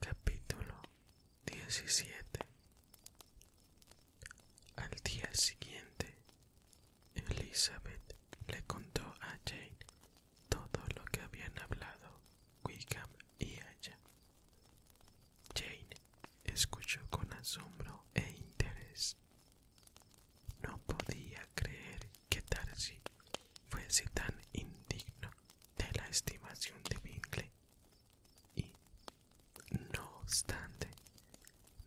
Capítulo 17 Al día siguiente, Elizabeth le contó a Jane todo lo que habían hablado Wickham y ella. Jane escuchó con asombro e interés no podía creer que Darcy fuese tan indigno de la estimación de Bingley y, no obstante,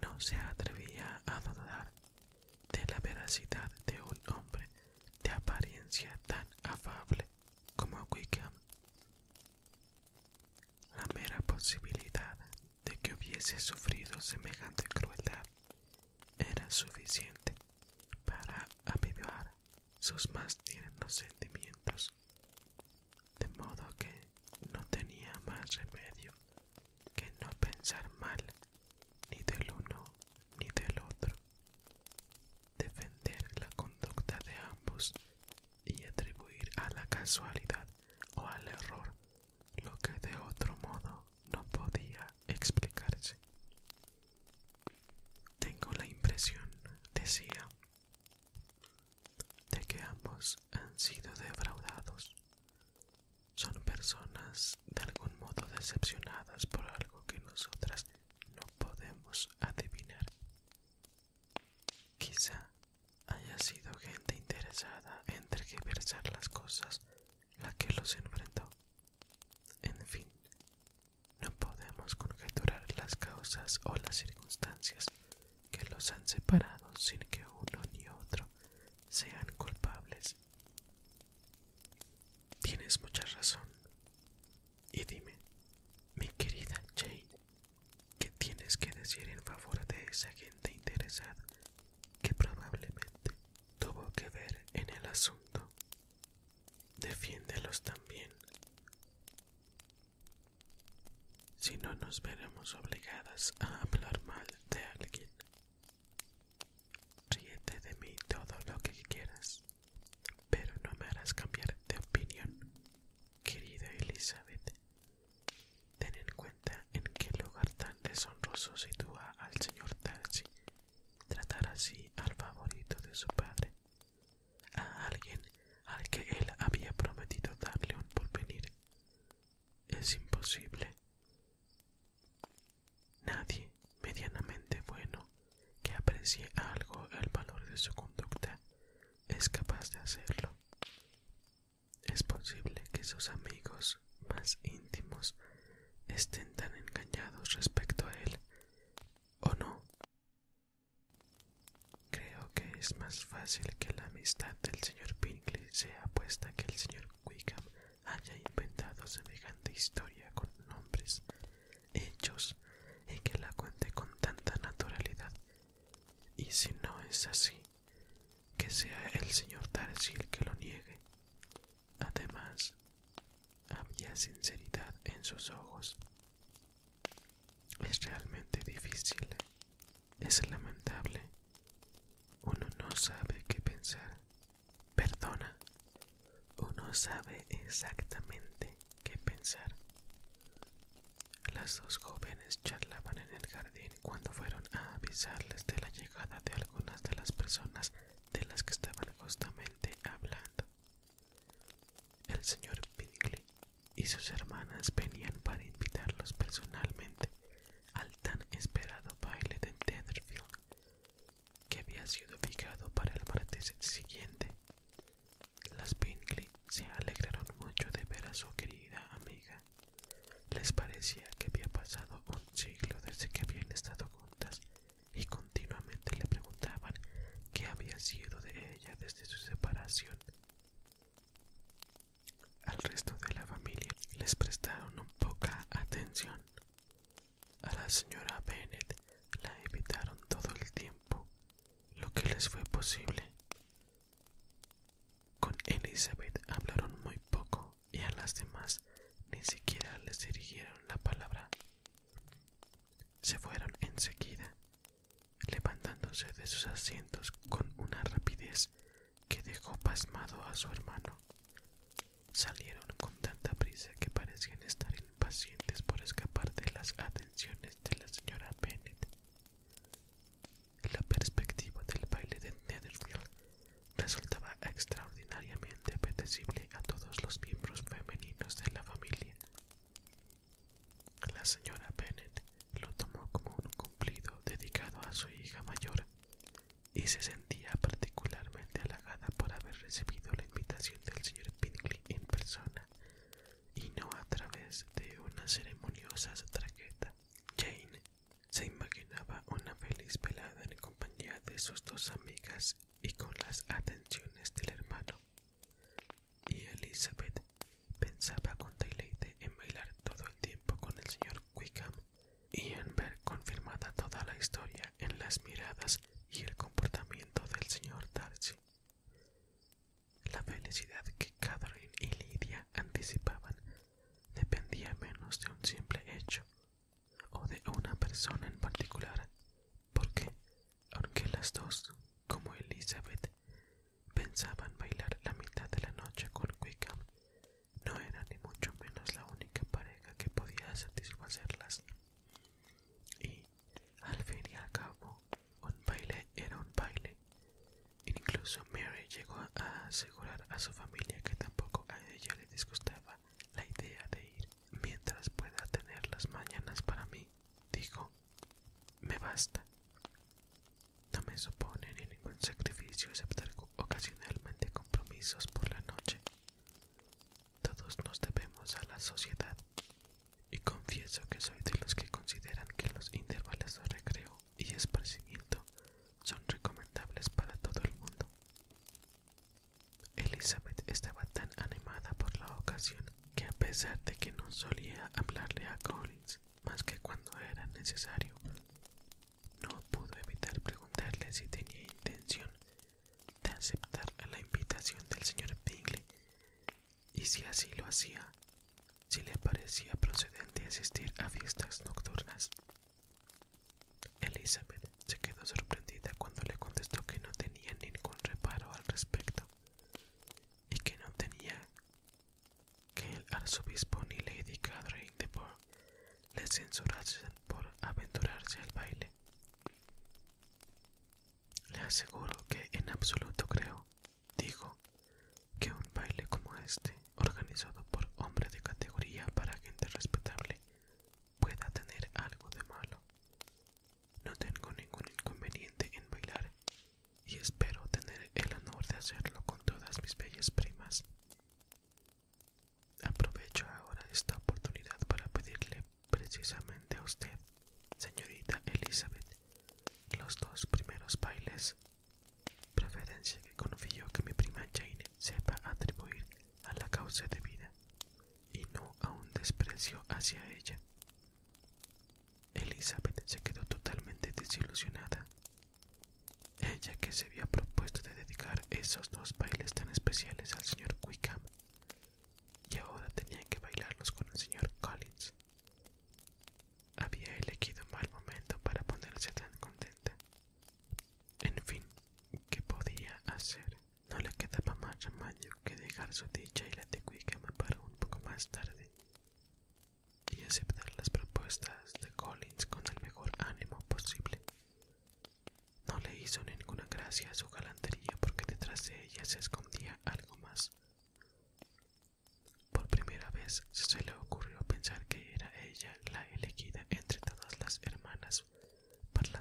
no se atrevía a dudar de la veracidad de un hombre de apariencia tan afable como Wickham. La mera posibilidad de que hubiese sufrido semejante crueldad era suficiente para avivar sus más tiernos sentimientos, de modo que no tenía más remedio que no pensar mal ni del uno ni del otro, defender la conducta de ambos y atribuir a la casualidad o al error lo que de otro modo no podía explicarse. Tengo la impresión, decía, de que ambos han sido defraudados. Son personas de algún modo decepcionadas por algo que nosotras no podemos adivinar. Quizá haya sido gente interesada en tergiversar las cosas la que los enfrentó. En fin, no podemos conjeturar las causas o las circunstancias que los han separado sin que uno ni otro sean culpables. Tienes mucha razón. Y dime, mi querida Jane, ¿Qué tienes que decir en favor de esa gente interesada que probablemente tuvo que ver en el asunto? Defiéndelos también. Si no nos veremos obligadas a hablar mal de alguien. Ríete de mí todo lo que quieras, pero no me harás cambiar de opinión. Querida Elizabeth, Ten en cuenta en qué lugar tan deshonroso sitúa al señor Darcy tratar así al favorito de su padre, a alguien al que él había prometido darle un porvenir. Es imposible. Nadie medianamente bueno que aprecie algo el valor de su conducta es capaz de hacerlo. Es posible que sus amigos más íntimos estén tan engañados respecto a él, ¿o no? Creo que es más fácil que la amistad del señor Pinkley sea puesta que el señor Wickham haya inventado semejante historia con nombres, hechos y que la cuente con tanta naturalidad. Y si no es así, que sea el señor Tarzil que lo niegue. Además, había sinceridad en sus ojos. Es realmente difícil, es lamentable. Uno no sabe qué pensar. Perdona, uno sabe exactamente qué pensar. Las dos jóvenes charlaban en el jardín cuando fueron a avisarles de la llegada de algunas de las personas de las que estaban justamente hablando. El señor Bingley y sus hermanas venían para invitarlos personalmente al tan esperado baile de Netherfield, que había sido fijado para el martes siguiente. Las Bingley se alegraron mucho de ver a su querida amiga les parecía que había pasado un siglo desde que habían estado juntas y continuamente le preguntaban qué había sido de ella desde su separación. Al resto de la familia les prestaron poca atención. A la señora Bennett la evitaron todo el tiempo, lo que les fue posible. Con Elizabeth hablaron muy poco y a las demás ni siquiera les dirigieron la palabra. Se fueron enseguida, levantándose de sus asientos con una rapidez que dejó pasmado a su hermano. Salieron con tanta prisa que parecían estar impacientes por escapar de las atenciones de la señora Bennet. La perspectiva del baile de Netherfield resultaba extraordinariamente apetecible a todos los miembros femeninos de la familia. La señora Bennet lo tomó como un cumplido dedicado a su hija mayor y se sentía particularmente halagada por haber recibido la invitación del señor Pinkley en persona y no a través de una ceremoniosa traqueta. Jane se imaginaba una feliz velada en compañía de sus dos amigas y con las atenciones del hermano. Y Elizabeth pensaba con deleite en bailar todo el tiempo con el señor Wickham y en ver confirmada toda la historia en las miradas y el comportamiento del señor Darcy. La felicidad que Catherine y Lidia anticipaban dependía menos de un simple hecho o de una persona en particular, porque, aunque las dos, como Elizabeth, pensaban bailar la mitad de la noche con Wickham, no era ni mucho menos la única pareja que podía satisfacerlas. Y, al fin y al cabo, un baile era un baile Incluso Mary llegó a asegurar a su familia que tampoco a ella le disgustaba la idea de ir. Mientras pueda tener las mañanas para mí, dijo, me basta. No me supone ningún sacrificio excepto ocasionalmente compromisos por la noche. Todos nos debemos a la sociedad y confieso que soy de los que consideran que los intervalos de recreo y esparcimiento son recomendables para todo el mundo. Elizabeth estaba tan animada por la ocasión que a pesar de que no solía hablarle a Collins más que cuando era necesario, no pudo evitar preguntarle si tenía intención de aceptar la invitación del señor Bingley y si así lo hacía, si le parecía procedente asistir a fiestas nocturnas. Elizabeth se quedó sorprendida cuando le contestó que no tenía ningún reparo al respecto y que no tenía que el arzobispo ni Lady Catherine de le censurasen por aventurarse al baile. Le aseguro que en absoluto creo, dijo, que un baile como este, organizado por hombre de categoría para gente respetable, pueda tener algo de malo. No tengo ningún inconveniente en bailar y espero tener el honor de hacerlo con todas mis bellas primas. Aprovecho ahora esta oportunidad para pedirle precisamente a usted, señorita Elizabeth, los dos primeros bailes preferencia que confío que mi prima Jane sepa atribuir a la causa de vida y no a un desprecio hacia ella. Elizabeth se quedó totalmente desilusionada. Ella que se había propuesto de dedicar esos dos bailes tan especiales al señor Wickham y ahora tenía que bailarlos con el señor Collins. Había elegido un mal momento para ponerse tan contenta. En fin, ¿qué podía hacer? No le quedaba más remedio que dejar su dicha y la me para un poco más tarde y aceptar las propuestas de Collins con el mejor ánimo posible. No le hizo ninguna gracia su galantería porque detrás de ella se escondía algo más. Por primera vez se le ocurrió pensar que era ella la elegida entre todas las hermanas para la,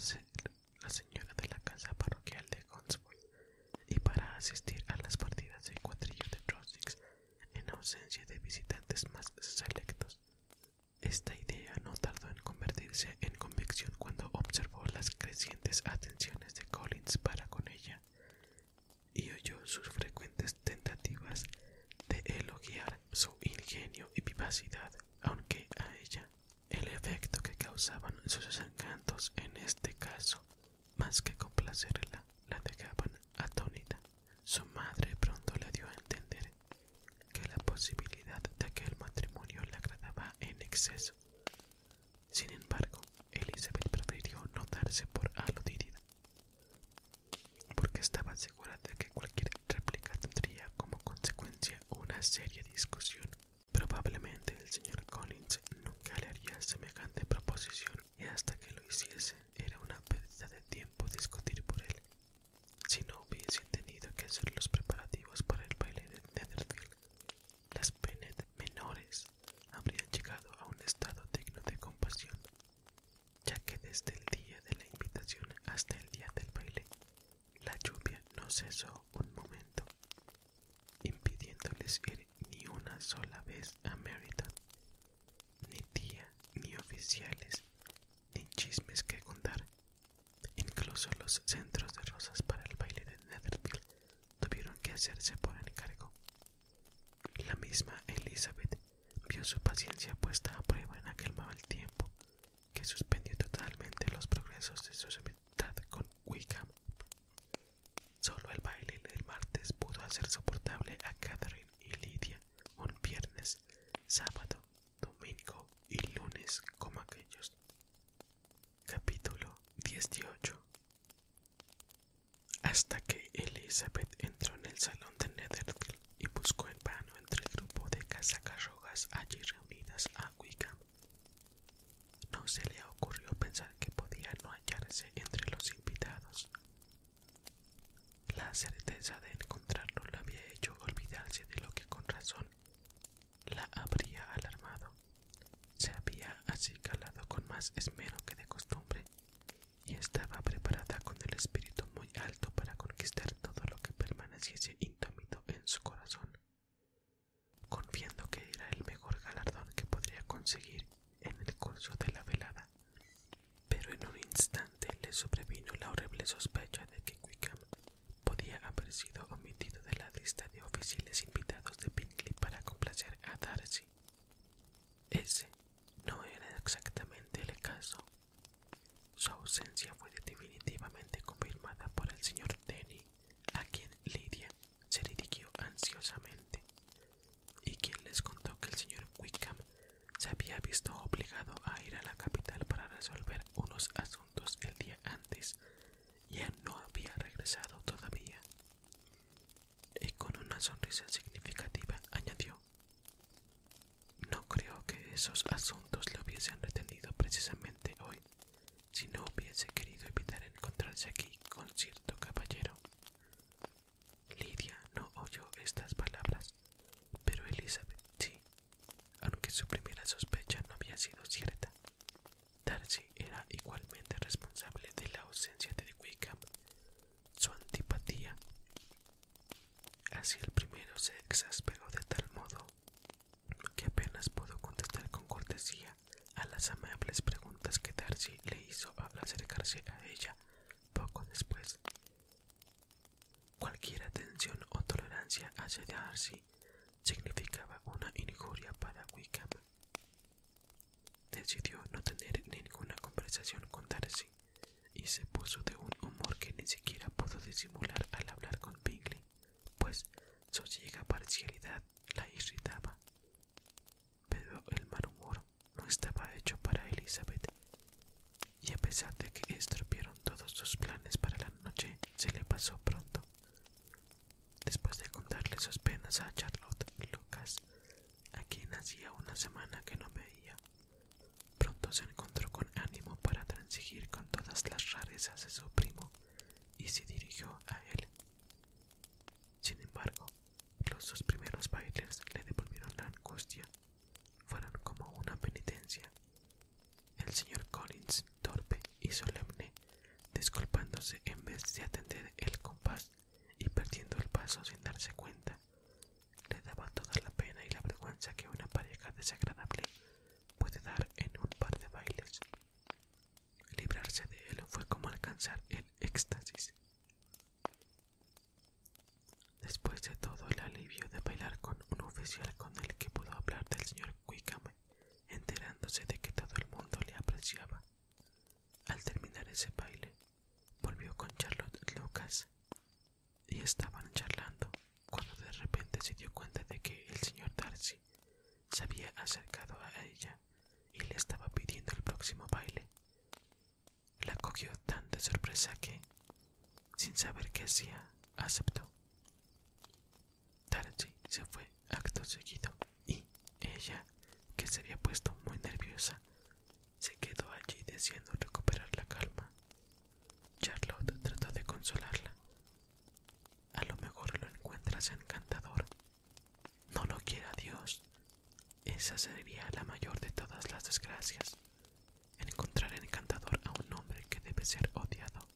la señora de la casa parroquial de Gonswold y para asistir a las partidas de cuadrillos de Trossix en ausencia de visitantes más selectos. Esta idea no tardó en convertirse en convicción cuando observó las crecientes atenciones de Collins para con ella y oyó sus frecuentes tentativas de elogiar su ingenio y vivacidad, aunque a ella el efecto que causaban sus encantos en este caso, más que complacerla, la dejaban atónita. Su madre pronto le dio a entender que la posibilidad de aquel matrimonio le agradaba en exceso. Sin embargo, Elizabeth prefirió no darse por aludida porque estaba segura de que cualquier réplica tendría como consecuencia una seria discusión. Probablemente el señor Collins nunca le haría semejante proposición y hasta que lo hiciese era una pérdida de tiempo discutir por él. Si no hubiese tenido que hacer los preparativos para el baile de Netherfield, las pene menores habrían llegado a un estado digno de compasión ya que desde el día de la invitación hasta el día del baile, la lluvia no cesó un momento, impidiéndoles ir ni una sola vez a Meriton, ni tía, ni oficiales, ni chismes que contar. Incluso los centros de rosas para el baile de Netherville tuvieron que hacerse por encargo, la misma Elizabeth vio su paciencia puesta a prueba en aquel mal tiempo que suspendió totalmente los progresos de su amistad con Wickham. Solo el baile del martes pudo hacer soportable a Catherine y Lydia un viernes, sábado, domingo y lunes como aquellos. Capítulo 18 Hasta que Elizabeth entró en el salón de Netherfield y buscó en vano entre el grupo de casacarrogas allí reunidas a Wickham. No se le ocurrió pensar que podía no hallarse entre los invitados. La certeza de encontrarlo la había hecho olvidarse de lo que con razón la habría alarmado. Se había así calado con más esmero que de costumbre y estaba preparada con el espíritu muy alto para conquistar todo lo que permaneciese indómito en su corazón, confiando que era el mejor galardón que podría conseguir en el curso de la velada. Pero en un instante le sobrevino la horrible sospecha de que Wickham podía haber sido omitido de la lista de oficiales invitados de Pinkley para complacer a Darcy. Ese no era exactamente el caso. Su ausencia fue definitivamente confirmada por el señor Denny, a quien Lydia se dirigió ansiosamente, y quien les contó que el señor Wickham se había visto obligado a ir a la capital para resolver unos asuntos el día antes y no había regresado todavía. Y con una sonrisa significativa añadió no creo que esos asuntos le hubiesen retenido precisamente hoy, si no hubiese querido evitar encontrarse aquí con cierto caballero. Lidia no oyó estas palabras, pero Elizabeth sí, aunque su primera sospecha no había sido cierta. Darcy era igualmente responsable de la ausencia de Wickham su antipatía Así el primero se exasperó de tal modo que apenas pudo contestar con cortesía a las amables preguntas que Darcy le hizo al acercarse a ella poco después. Cualquier atención o tolerancia hacia Darcy significaba una injuria para Wickham. Decidió no tener ninguna conversación con Darcy y se puso de un humor que ni siquiera pudo disimular al hablar con Bingley, pues su ciega parcialidad la irritaba. Pero el mal humor no estaba hecho para Elizabeth, y a pesar de que estropearon todos sus planes para la noche, se le pasó pronto. Después de contarle sus penas a Charlotte y Lucas, a quien hacía una semana que no veía, Pronto se encontró con ánimo para transigir con todas las rarezas de su primo y se dirigió a él. Sin embargo, los dos primeros bailes le devolvieron la angustia. Fueron como una penitencia. El señor Collins, torpe y solemne, disculpándose en vez de atender el compás y perdiendo el paso sin darse cuenta, le daba toda la pena y la vergüenza que una pareja desagradable puede dar en un par de bailes. Librarse de él fue como alcanzar el éxtasis. Después de todo el alivio de bailar con un oficial con el que pudo hablar del señor Wickham, enterándose de que todo el mundo le apreciaba, al terminar ese baile, volvió con Charlotte Lucas y estaban charlando cuando de repente se dio cuenta de que el señor Darcy se había acercado a ella y le estaba pidiendo el próximo baile. La cogió tan de sorpresa que, sin saber qué hacía, aceptó. Darcy se fue acto seguido y ella, que se había puesto muy nerviosa, se quedó allí deseando recuperar la calma. Charlotte trató de consolarla. A lo mejor lo encuentras encantador. No lo quiera Dios. Esa sería la mayor de todas las desgracias. Encontrar encantador a un hombre que debe ser odiado.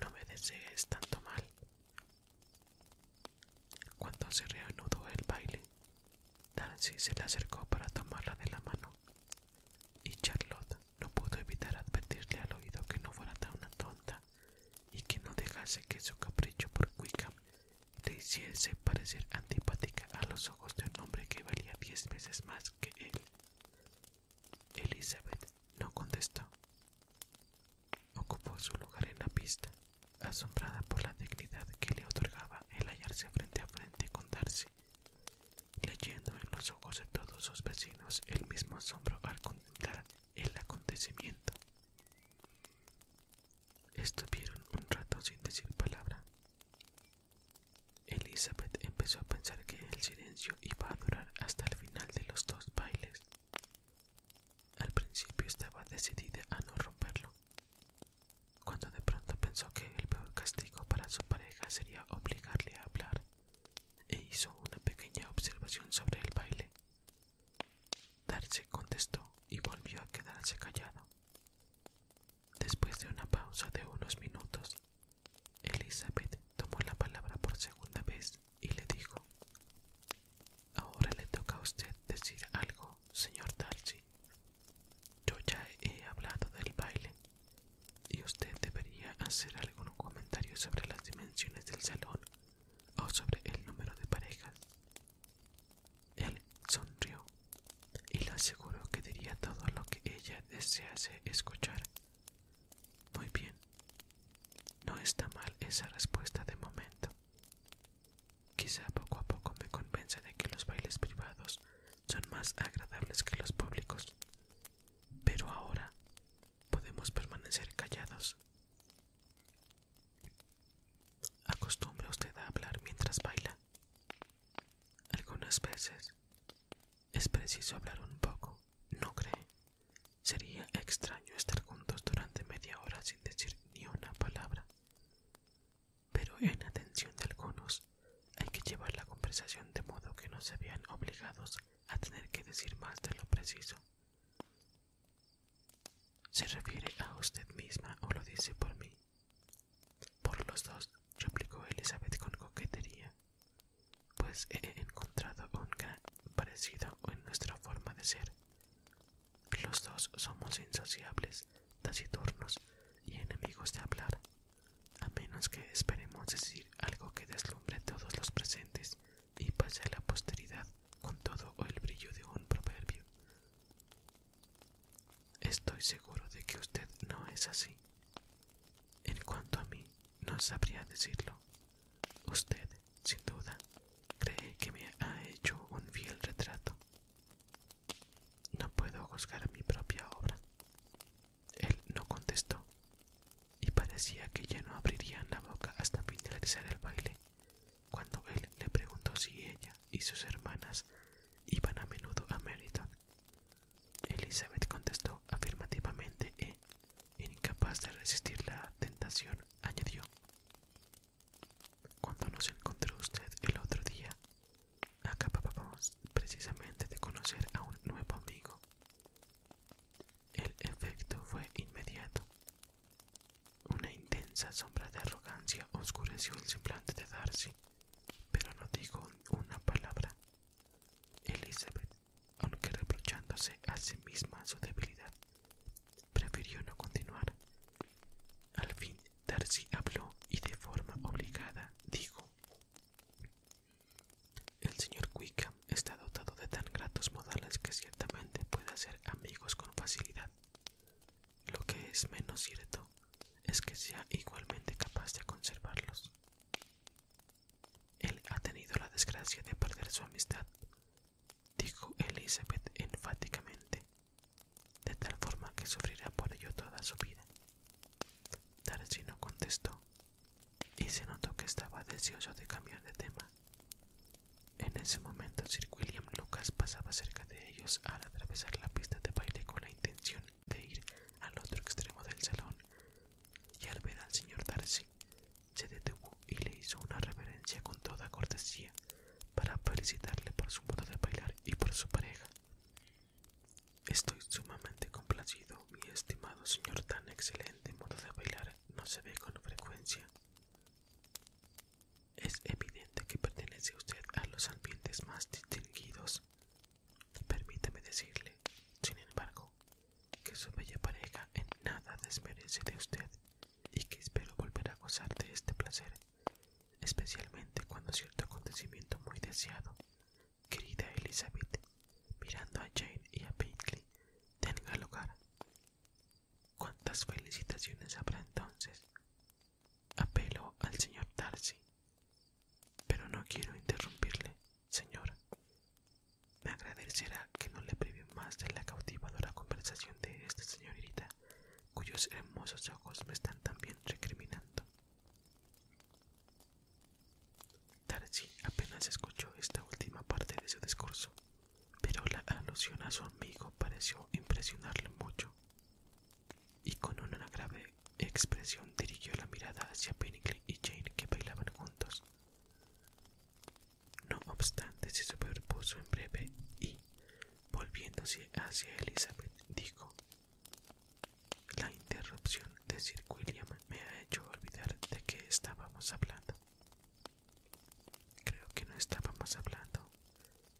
No me desees tanto mal. Cuando se reanudó el baile, Darcy se le acercó para tomarla de la mano. Y Charlotte no pudo evitar advertirle al oído que no fuera tan una tonta y que no dejase que su capricho por Wickham le hiciese parecer antipática a los ojos de un hombre que valía diez veces más que él. Elizabeth no contestó. Ocupó su lugar en la pista, asombrada por la dignidad que le otorgaba el hallarse frente a frente con Darcy leyendo en los ojos de todos sus vecinos el mismo asombro al contemplar el acontecimiento. Estuvieron un rato sin decir palabra. Elizabeth empezó a pensar que el silencio iba a durar hasta el final de los dos bailes. Al principio estaba decidida a no romperlo, cuando de pronto pensó que el peor castigo para su pareja sería obligarle a hablar, e hizo una pequeña observación sobre el baile. Darcy contestó y volvió a quedarse callado. Después de una pausa de unos minutos, Elizabeth tomó la palabra por segunda vez y le dijo, Ahora le toca a usted decir algo, señor Darcy, yo ya he hablado del baile y usted debería hacer algún comentario sobre las dimensiones del salón o sobre el número de parejas. Él sonrió y le aseguró que diría todo lo que ella desease escuchar. Muy bien. No está mal esa respuesta de momento. Quizá poco a poco me convenza de que los bailes privados son más agradables que los públicos. Pero ahora podemos permanecer callados. Acostumbra usted a hablar mientras baila. Algunas veces es preciso hablar un poco, ¿no cree? Sería extraño estar juntos durante media hora sin decir ni una palabra pero en atención de algunos hay que llevar la conversación de modo que no se vean obligados a tener que decir más de lo preciso. ¿Se refiere a usted misma o lo dice por mí? Por los dos, replicó Elizabeth con coquetería, pues he encontrado un gran parecido en nuestra forma de ser. Los dos somos insociables, taciturnos y enemigos de hablar a menos que esperemos decir algo que deslumbre a todos los presentes y pase a la posteridad con todo el brillo de un proverbio. Estoy seguro de que usted no es así. En cuanto a mí, no sabría decirlo. Usted, sin duda, cree que me ha hecho un fiel retrato. No puedo juzgar mi propia obra. Él no contestó, y parecía que ya no abrirían la boca hasta finalizar el baile, cuando él le preguntó si ella y sus hermanas iban a menudo a Meriton. Elizabeth contestó afirmativamente e, incapaz de resistir la tentación, añadió: Cuando nos encontró usted el otro día, Acá precisamente de conocer a un nuevo amigo. El efecto fue inmediato. Una intensa sombra de arrogancia oscureció el semblante de Darcy, pero no dijo una palabra. Elizabeth, aunque reprochándose a sí misma su debilidad, prefirió no continuar. Al fin, Darcy habló y de forma obligada dijo el señor Wickham está dotado de tan gratos modales que ciertamente puede hacer amigos con facilidad. Lo que es menos cierto es que sea igualmente capaz de conservarlos. Él ha tenido la desgracia de perder su amistad, dijo Elizabeth enfáticamente, de tal forma que sufrirá por ello toda su vida. Darcy no contestó y se notó que estaba deseoso de cambiar de tema. En ese momento Sir William Lucas pasaba cerca de ellos al atravesar la pista de baile con la intención de ir al otro extremo del salón y al ver al señor Darcy se detuvo y le hizo una reverencia con toda cortesía para felicitarle por su modo de bailar y por su pareja. Estoy sumamente complacido, mi estimado señor. Tan excelente modo de bailar no se ve con frecuencia. Es evidente que pertenece usted a los ambientes más distinguidos. Permítame decirle, sin embargo, que su bella pareja en nada desmerece de usted y que espero volver a gozar de este placer, especialmente cuando cierto acontecimiento muy deseado querida Elizabeth, mirando a Jane y a Pinkley, tenga lugar. ¿Cuántas felicitaciones habrá entonces? Apelo al señor Darcy. Pero no quiero interrumpirle, señor. Me agradecerá que no le prive más de la cautivadora conversación de esta señorita, cuyos hermosos ojos me están también recriminando. Darcy apenas escuchó esta última parte de su discurso, pero la alusión a su amigo pareció impresionarle mucho, y con una grave expresión dirigió la mirada hacia Pinkley y Jane que bailaban juntos. No obstante, se superpuso en breve y, volviéndose hacia Elizabeth, dijo: la interrupción de Sir William me ha hecho olvidar de qué estábamos hablando. Creo que no estábamos hablando.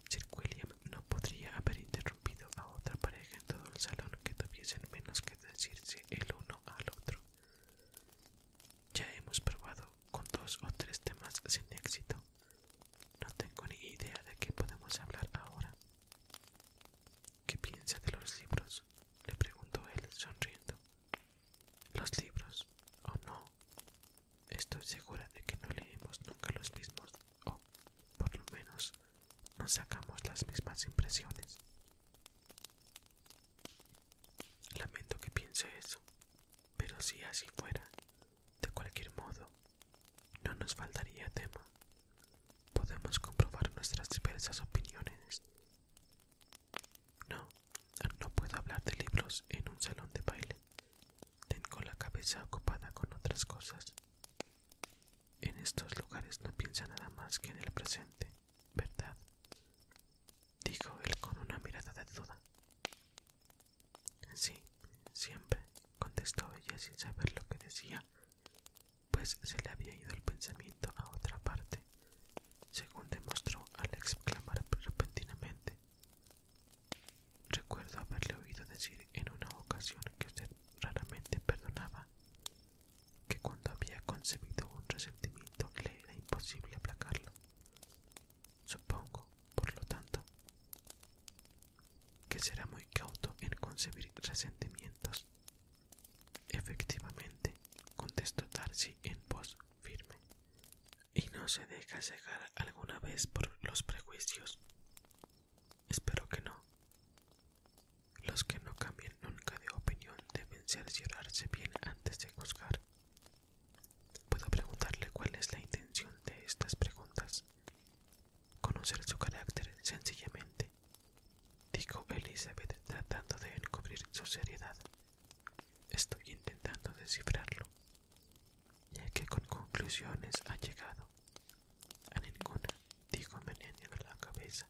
Sir William no podría haber interrumpido a otra pareja en todo el salón que tuviesen menos que decirse el uno al otro. Ya hemos probado con dos o tres temas sin éxito. No tengo ni idea de qué podemos hablar ahora. ¿Qué piensa de los libros? le preguntó él, sonriendo. Los libros, o no. Estoy segura de que no leemos nunca los mismos, o por lo menos no sacamos las mismas impresiones. Lamento que piense eso, pero si así fuera, de cualquier modo, no nos faltaría tema. Podemos comprobar nuestras diversas opiniones. No, no puedo hablar de libros en un salón de baile. Tengo la cabeza ocupada con otras cosas. En estos lugares no piensa nada más que en el presente, ¿verdad? Dijo él con una mirada de duda. Sí, siempre, contestó ella sin saber lo que decía pues se le había ido el pensamiento a otra parte, según demostró al exclamar repentinamente. Recuerdo haberle oído decir en una ocasión que usted raramente perdonaba, que cuando había concebido un resentimiento le era imposible aplacarlo. Supongo, por lo tanto, que será muy cauto en concebir resentimientos. Efectivamente, contestó Darcy en voz firme, y no se deja cegar alguna vez por los prejuicios. Espero que no. Los que no cambian nunca de opinión deben cerciorarse bien antes de juzgar. Puedo preguntarle cuál es la intención de estas preguntas conocer su carácter sencillamente, dijo Elizabeth tratando de encubrir su seriedad. Estoy intentando descifrarlo. ya que con conclusiones ha llegado? A ninguna, dijo en la cabeza.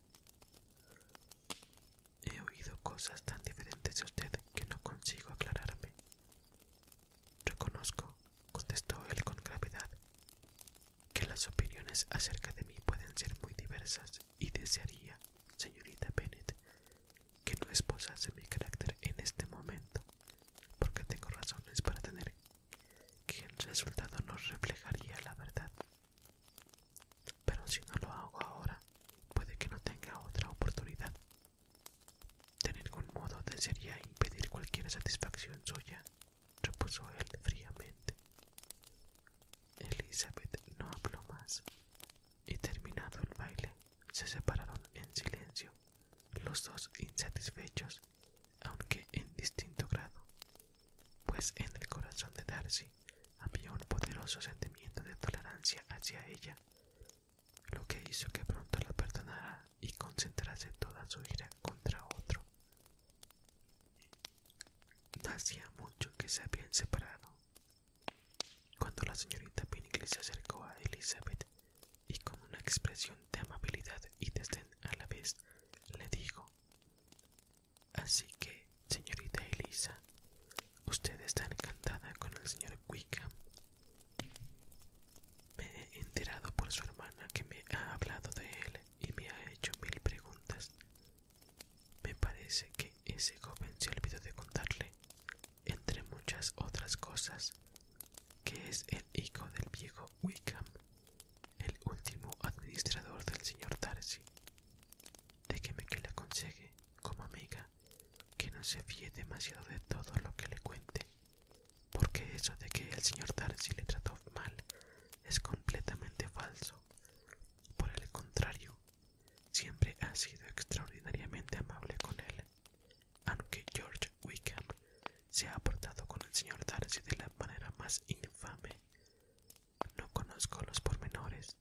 He oído cosas tan diferentes de usted que no consigo aclararme. Reconozco, contestó él con gravedad, que las opiniones acerca de mí pueden ser muy diversas y desearía, señorita Bennett, que no esposase mi carácter en este momento, porque tengo razones para tener que el resultado no reflejaría la verdad. Pero si no lo hago ahora, puede que no tenga otra oportunidad. De ningún modo desearía impedir cualquier satisfacción suya repuso él fríamente. Elizabeth no habló más, y terminado el baile, se separaron en silencio, los dos insatisfechos, aunque en distinto grado, pues en el corazón de Darcy había un poderoso sentimiento de tolerancia hacia ella, lo que hizo que pronto la perdonara y concentrase toda su ira contra otro hacía mucho que se habían separado. Cuando la señorita Pinkley se acercó a Elizabeth y con una expresión de amabilidad y desdén a la vez le dijo: Así que, señorita Elisa, usted está encantada con el señor Wickham. Me he enterado por su hermana que me ha hablado de él y me ha hecho mil preguntas. Me parece que ese joven se olvidó de contarle, entre muchas otras cosas, que es el hijo del viejo Wickham, el último administrador del señor Darcy. Déjeme que le aconsegue como amiga, que no se fíe demasiado de todo lo que le cuente, porque eso de que el señor Darcy le trató mal es completamente falso. Por el contrario, siempre ha sido extraordinariamente amable con él, aunque George Wickham se ha portado con el señor Darcy de la manera más infame. No conozco los pormenores,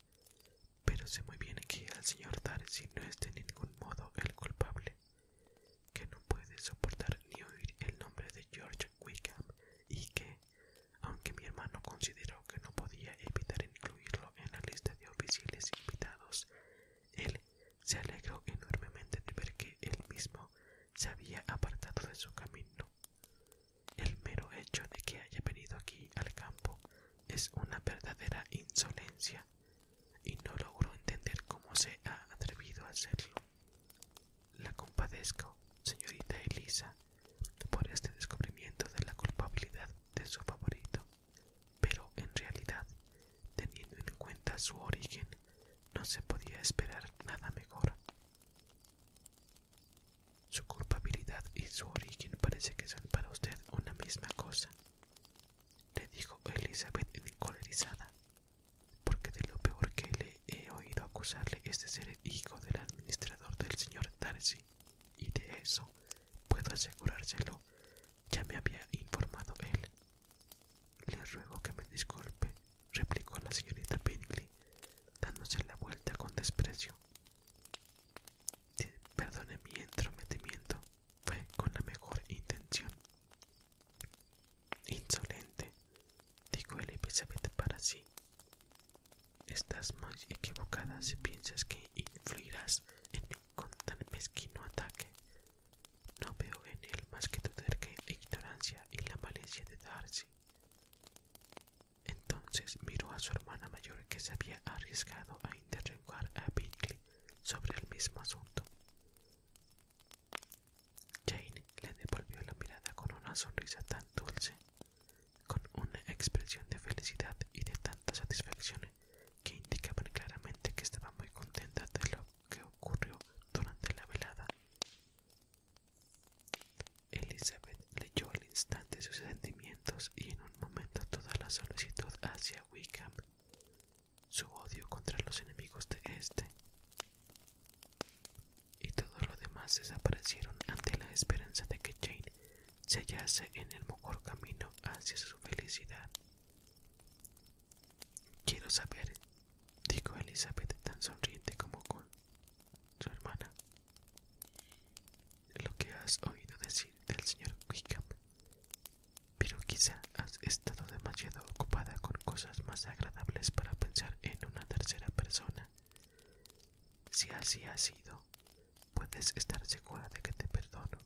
pero sé muy bien que el señor Darcy no es de ningún modo el culpable, que no puede soportar ni oír el nombre de George Wickham y que, aunque mi hermano consideró que no podía evitar incluirlo en la lista de oficiales invitados, él se alegró enormemente de ver que él mismo se había apartado de su camino. El mero hecho de que haya venido aquí al campo es una verdadera insolencia, y no logro entender cómo se ha atrevido a hacerlo. La compadezco, señorita Elisa, por este descubrimiento de la culpabilidad de su favorito, pero en realidad, teniendo en cuenta su origen, no se podía esperar nada mejor. Su culpabilidad y su origen parece que son para usted una misma cosa, le dijo Elizabeth encolerizada porque de lo peor que le he oído acusarle es de ser el hijo del administrador del señor Darcy, y de eso puedo asegurárselo, ya me había informado él. Le ruego que me disculpe, replicó la señorita Bingley, dándose la vuelta con desprecio. Perdone mi entrometimiento, fue con la mejor intención. Insolente, dijo Elizabeth para sí. Estás muy equivocada si piensas que influirás en mí tan mezquino ataque. No veo en él más que tu terca ignorancia y la malicia de Darcy. Entonces miró a su hermana mayor que se había arriesgado a interrogar a Binkley sobre el mismo asunto. Jane le devolvió la mirada con una sonrisa tan dulce, con una expresión de felicidad y de tanta satisfacción que indicaban claramente que estaba muy contenta de lo que ocurrió durante la velada. Elizabeth leyó al instante sus sentimientos y en un momento toda la solicitud hacia Wickham, su odio contra los enemigos de este, y todo lo demás desaparecieron ante la esperanza de que Jane se hallase en el mejor camino hacia su felicidad. Quiero saber, dijo Elizabeth tan sonriente como con su hermana, lo que has oído decir del señor Wickham. Pero quizá has estado demasiado ocupada con cosas más agradables para pensar en una tercera persona. Si así ha sido, puedes estar segura de que te perdono.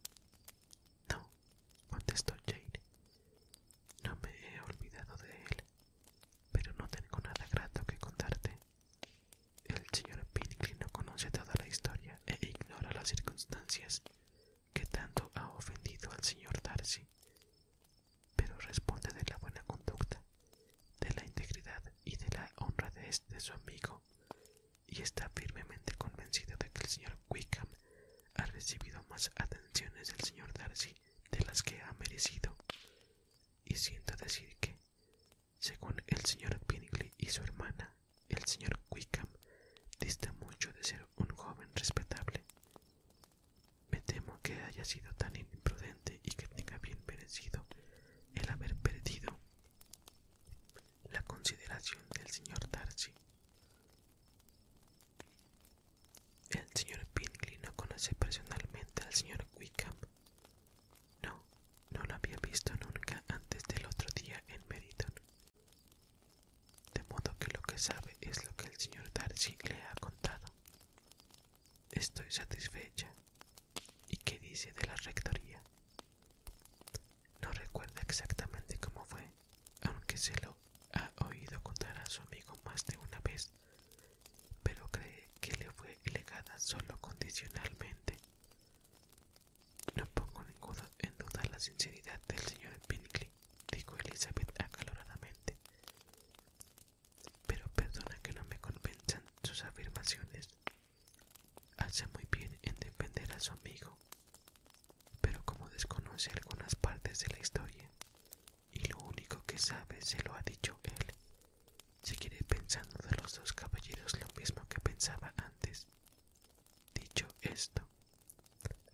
No, contestó Jane. No me he olvidado de él, pero no tengo nada grato que contarte. El señor Pinkley no conoce toda la historia e ignora las circunstancias que tanto ha ofendido al señor Darcy pero responde de la buena conducta, de la integridad y de la honra de su amigo, y está firmemente convencido de que el señor Wickham ha recibido más atenciones del señor Darcy de las que ha merecido, y siento decir que, según el señor Bingley y su hermana, el señor Wickham dista mucho de ser un joven respetable. Me temo que haya sido tan imprudente y que tenga bien merecido el haber perdido la consideración del señor Darcy. El señor Pinkley no conoce personalmente al señor Wickham. No, no lo había visto nunca antes del otro día en Meriton. De modo que lo que sabe es lo que el señor Darcy le ha contado. Estoy satisfecha. ¿Y qué dice de la rectoría? No recuerda exactamente cómo fue, aunque se lo ha oído contar a su amigo más de una vez, pero cree que le fue legada solo condicionalmente. No pongo en duda la sinceridad del señor Pinkley, dijo Elizabeth acaloradamente pero perdona que no me convencen sus afirmaciones. Hace muy bien en defender a su amigo, pero como desconoce algunas partes de la historia y lo único que sabe se lo ha dicho él, quiere pensando de los dos caballeros lo mismo que pensaba antes. Dicho esto,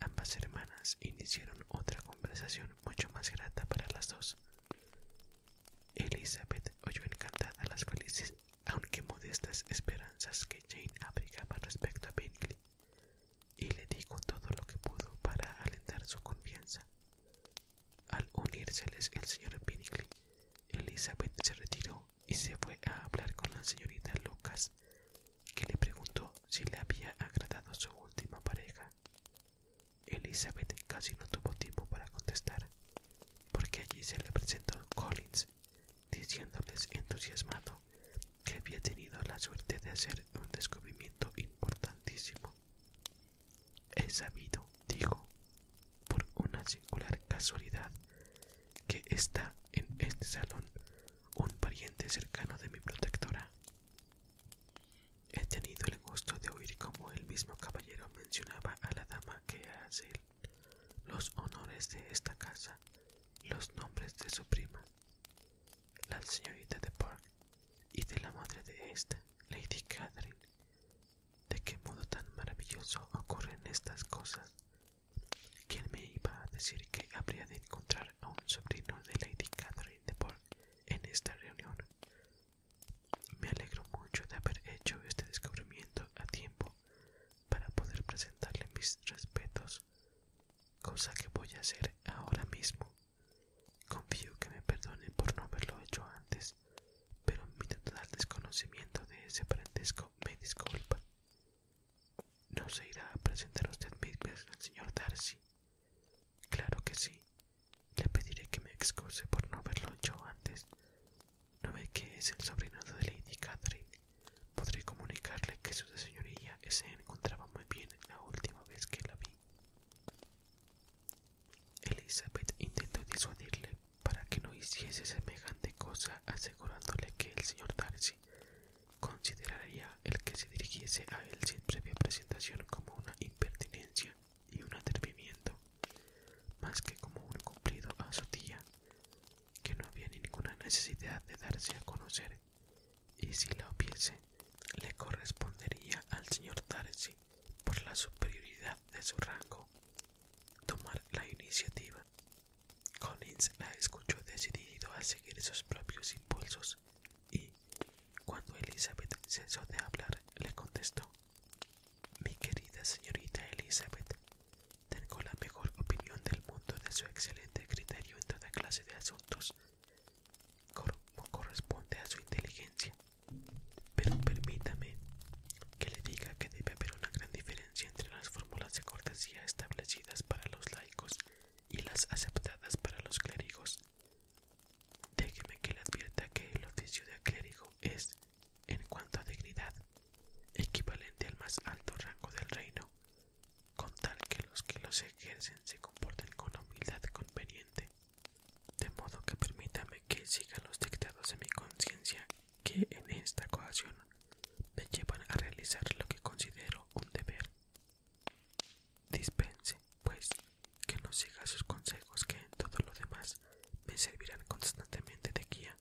ambas hermanas iniciaron otra conversación mucho más grata para las dos, Elizabeth oyó encantada las felices, aunque modestas esperanzas que Jane abrigaba respecto a Bingley, y le dijo todo lo que pudo para alentar su confianza. Al unírseles el señor Bingley, Elizabeth se retiró y se fue a hablar con la señorita Lucas, que le preguntó si le había agradado su última pareja. Elizabeth casi no tuvo tiempo para contestar, porque allí se le presentó Collins, diciéndoles entusiasmado que había tenido la suerte de hacer un descubrimiento importantísimo. He sabido, dijo, por una singular casualidad, que está en este salón un pariente cercano de mi protectora. He tenido el gusto de oír cómo el mismo caballero mencionaba a la dama que hace los honores de esta casa, los nombres de su prima, la señorita de Park, y de la madre de esta, Lady Catherine. ¿De qué modo tan maravilloso ocurren estas cosas? ¿Quién me iba a decir que habría de encontrar a un sobrino de Lady Catherine de Park en esta reunión? Me alegro mucho de haber hecho este descubrimiento a tiempo para poder presentarle mis respetos, cosa que voy a hacer ahora mismo. Confío que me perdone por no haberlo hecho antes, pero mi total desconocimiento de ese parentesco me disculpa. No se irá a presentar usted mismo al señor Darcy, Claro que sí. Le pediré que me excuse por no haberlo hecho antes. ¿No ve que es el sobrinado de Lady Catherine? Podré comunicarle que su señoría se encontraba muy bien la última vez que la vi. Elizabeth intentó disuadirle para que no hiciese semejante cosa, asegurándole que el señor Darcy consideraría el que se dirigiese a él sin previa presentación como una impertinencia y un atrevimiento, más que como un cumplido a su tía, que no había ninguna necesidad de darse a conocer, y si la hubiese, le correspondería al señor Darcy, por la superioridad de su rango, tomar la iniciativa. Collins la escuchó decidido a seguir sus propios impulsos y, cuando Elizabeth cesó de hablar, le contestó Mi querida señorita Elizabeth, tengo la mejor opinión del mundo de su excelente criterio en toda clase de asuntos, como corresponde a su inteligencia. Pero permítame que le diga que debe haber una gran diferencia entre las fórmulas de cortesía establecidas para los laicos y las aceptadas para los clérigos. Déjeme que le advierta que el oficio de clérigo es, en cuanto a dignidad, equivalente al más alto rango del reino, con tal que los que los ejercen se comporten con humildad conveniente. De modo que permítame que sigan los dictados de mi conciencia, que en esta ocasión me llevan a realizar lo que considero un deber. Dispense, pues, que no siga sus consejos que en todo lo demás me servirán constantemente de guía,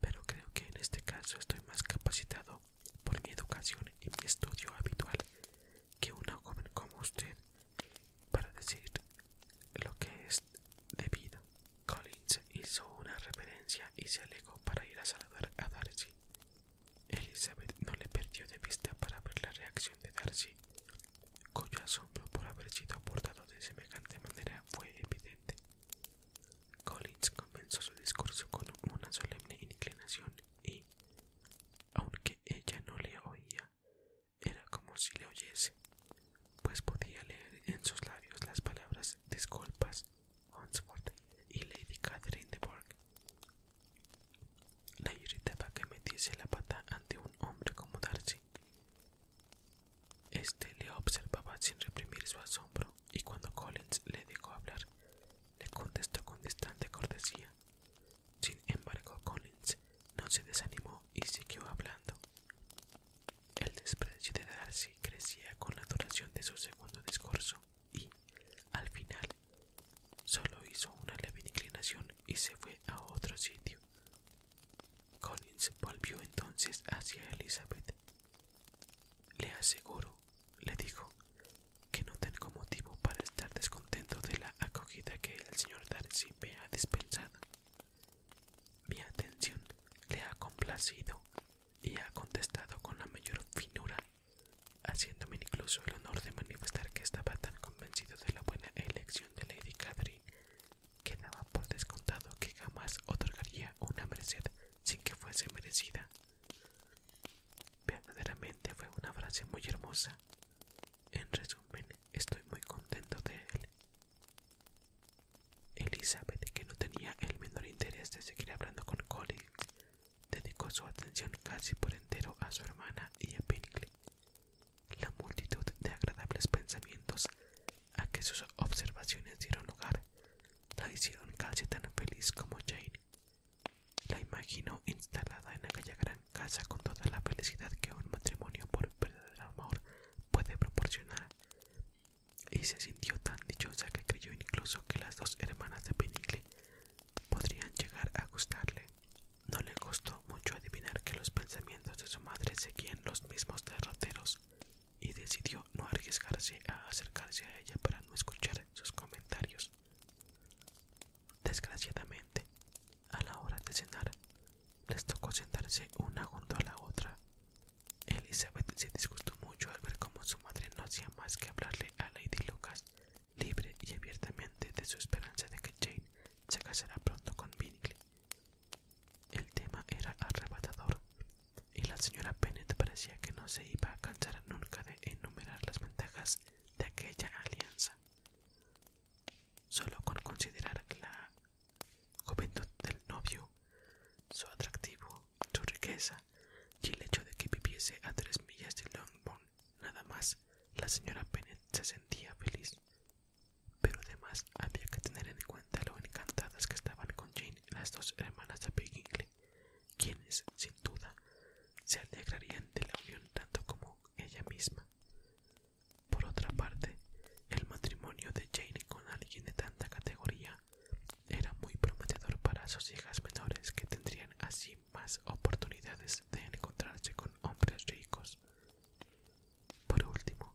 pero creo que en este caso estoy más capacitado por mi educación y mi estudio habitual que una joven como usted para decir lo que es debido. Collins hizo una reverencia y se alegó para ir a saludar a Darcy. Elizabeth no le perdió de vista para ver la reacción de Darcy cuyo asombro por haber sido abordado de semejante manera fue evidente. Collins comenzó su discurso con una solemne inclinación y, aunque ella no le oía, era como si le oyese, pues podía leer en sus labios las palabras disculpas, y Lady Catherine de Bourgh. La irritaba que metiese la pata ante un hombre como Darcy. Este le observaba sin reprimir su asombro y cuando Collins le dejó hablar, le contestó con distante cortesía. Sin embargo, Collins no se desanimó y siguió hablando. El desprecio de Darcy crecía con la duración de su segundo discurso y, al final, solo hizo una leve inclinación y se fue a otro sitio. Collins volvió entonces hacia Elizabeth. Le aseguro, le dijo, que no tengo motivo para estar descontento de la acogida que el señor Darcy me ha dispensado. Mi atención le ha complacido y ha contestado con la mayor finura, haciéndome incluso el honor de manifestar que estaba tan convencido de la buena elección de Lady Catherine, quedaba por descontado que jamás otorgaría una merced sin que fuese merecida. Verdaderamente fue una frase muy hermosa. En resumen, estoy muy contento de él. Elizabeth, que no tenía el menor interés de seguir hablando con Colin, dedicó su atención casi por entero a su hermana y a Pinkley, la multitud de agradables pensamientos a que sus observaciones dieron lugar la hicieron casi tan feliz como Jane. La imaginó instalada en aquella gran casa con toda la felicidad que un matrimonio por verdadero amor puede proporcionar, y se sintió tan dichosa que creyó incluso que las dos hermanas de Penicle podrían llegar a gustarle. No le costó mucho adivinar que los pensamientos de su madre seguían los mismos derroteros y decidió no arriesgarse a acercarse a ella para no escuchar sus comentarios. Desgraciadamente, a la hora de cenar, les tocó sentarse una junto a la otra. Elizabeth se disgustó mucho al ver cómo su madre no hacía más que hablarle a Lady Lucas libre y abiertamente de su esperanza de que Jane se casará pronto con Bingley. El tema era arrebatador, y la señora Bennet parecía que no se iba a cansar nunca de enumerar las ventajas de aquella alianza. Solo con considerar la juventud del novio, su atractivo, su riqueza y el hecho de que viviese a tres millas de Longbourn, nada más, la señora Bennet se sentía feliz. Pero además había que tener en cuenta lo encantadas que estaban con Jane las dos hermanas de Piggingley, quienes, sin duda, se alegrarían de la unión tanto como ella misma. Por otra parte, el matrimonio de Jane con alguien de tanta categoría era muy prometedor para sus hijas menores que tendrían así más oportunidades de encontrarse con hombres ricos por último,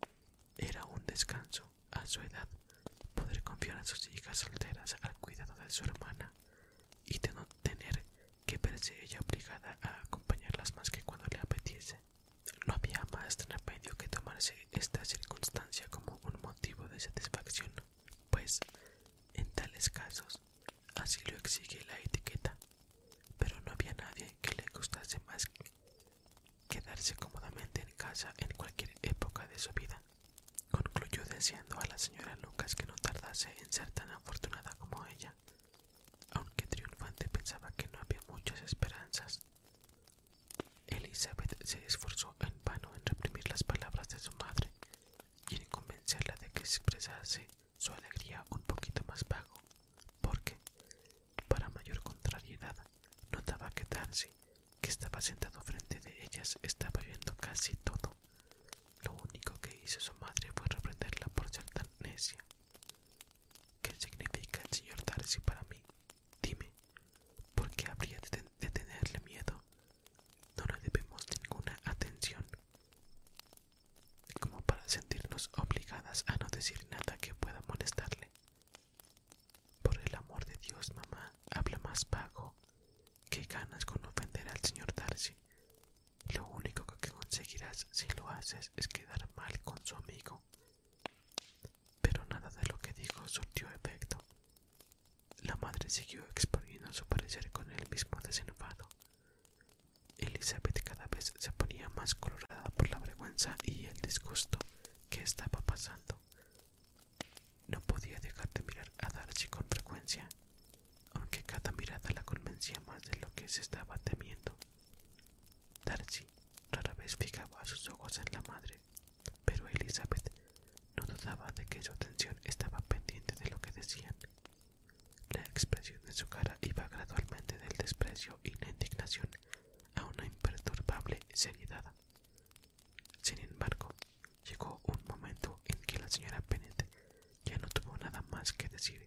era un descanso, a su edad, poder confiar a sus hijas solteras al cuidado de su hermana y de no tener que verse ella obligada a acompañarlas más que cuando le apetiese. No había más remedio que tomarse esta circunstancia como un motivo de satisfacción, pues en tales casos así lo exige la etiqueta pero no había nadie que le gustase más quedarse cómodamente en casa en cualquier época de su vida. Concluyó deseando a la señora Lucas que no tardase en ser tan afortunada como ella, aunque triunfante pensaba que no había muchas esperanzas. Elizabeth se esforzó en vano en reprimir las palabras de su madre y en convencerla de que expresase su alegría un poquito más vago, porque, para mayor contrariedad, notaba que Darcy, que estaba sentado frente de ellas, estaba viendo casi todo. Lo único que hizo su madre fue reprenderla por ser tan necia. ¿Qué significa el señor Darcy para mí? Dime, ¿por qué habría de tenerle miedo? No le debemos ninguna atención como para sentirnos obligadas a no decir nada que pueda molestarle. Por el amor de Dios, mamá, habla más bajo. Qué ganas con ofender al señor Darcy. Lo único que conseguirás si lo haces es quedar mal con su amigo. Pero nada de lo que dijo surtió efecto. La madre siguió exponiendo su parecer con el mismo desenfado. Elizabeth cada vez se ponía más colorada por la vergüenza y el disgusto que estaba pasando. No podía dejar de mirar a Darcy con frecuencia, aunque cada mirada la convencía más de lo que se estaba temiendo. Darcy rara vez fijaba sus ojos en la madre, pero Elizabeth no dudaba de que su atención estaba pendiente de lo que decían. La expresión de su cara iba gradualmente del desprecio y la indignación a una imperturbable seriedad. Sin embargo, llegó un momento en que la señora Penete ya no tuvo nada más que decir,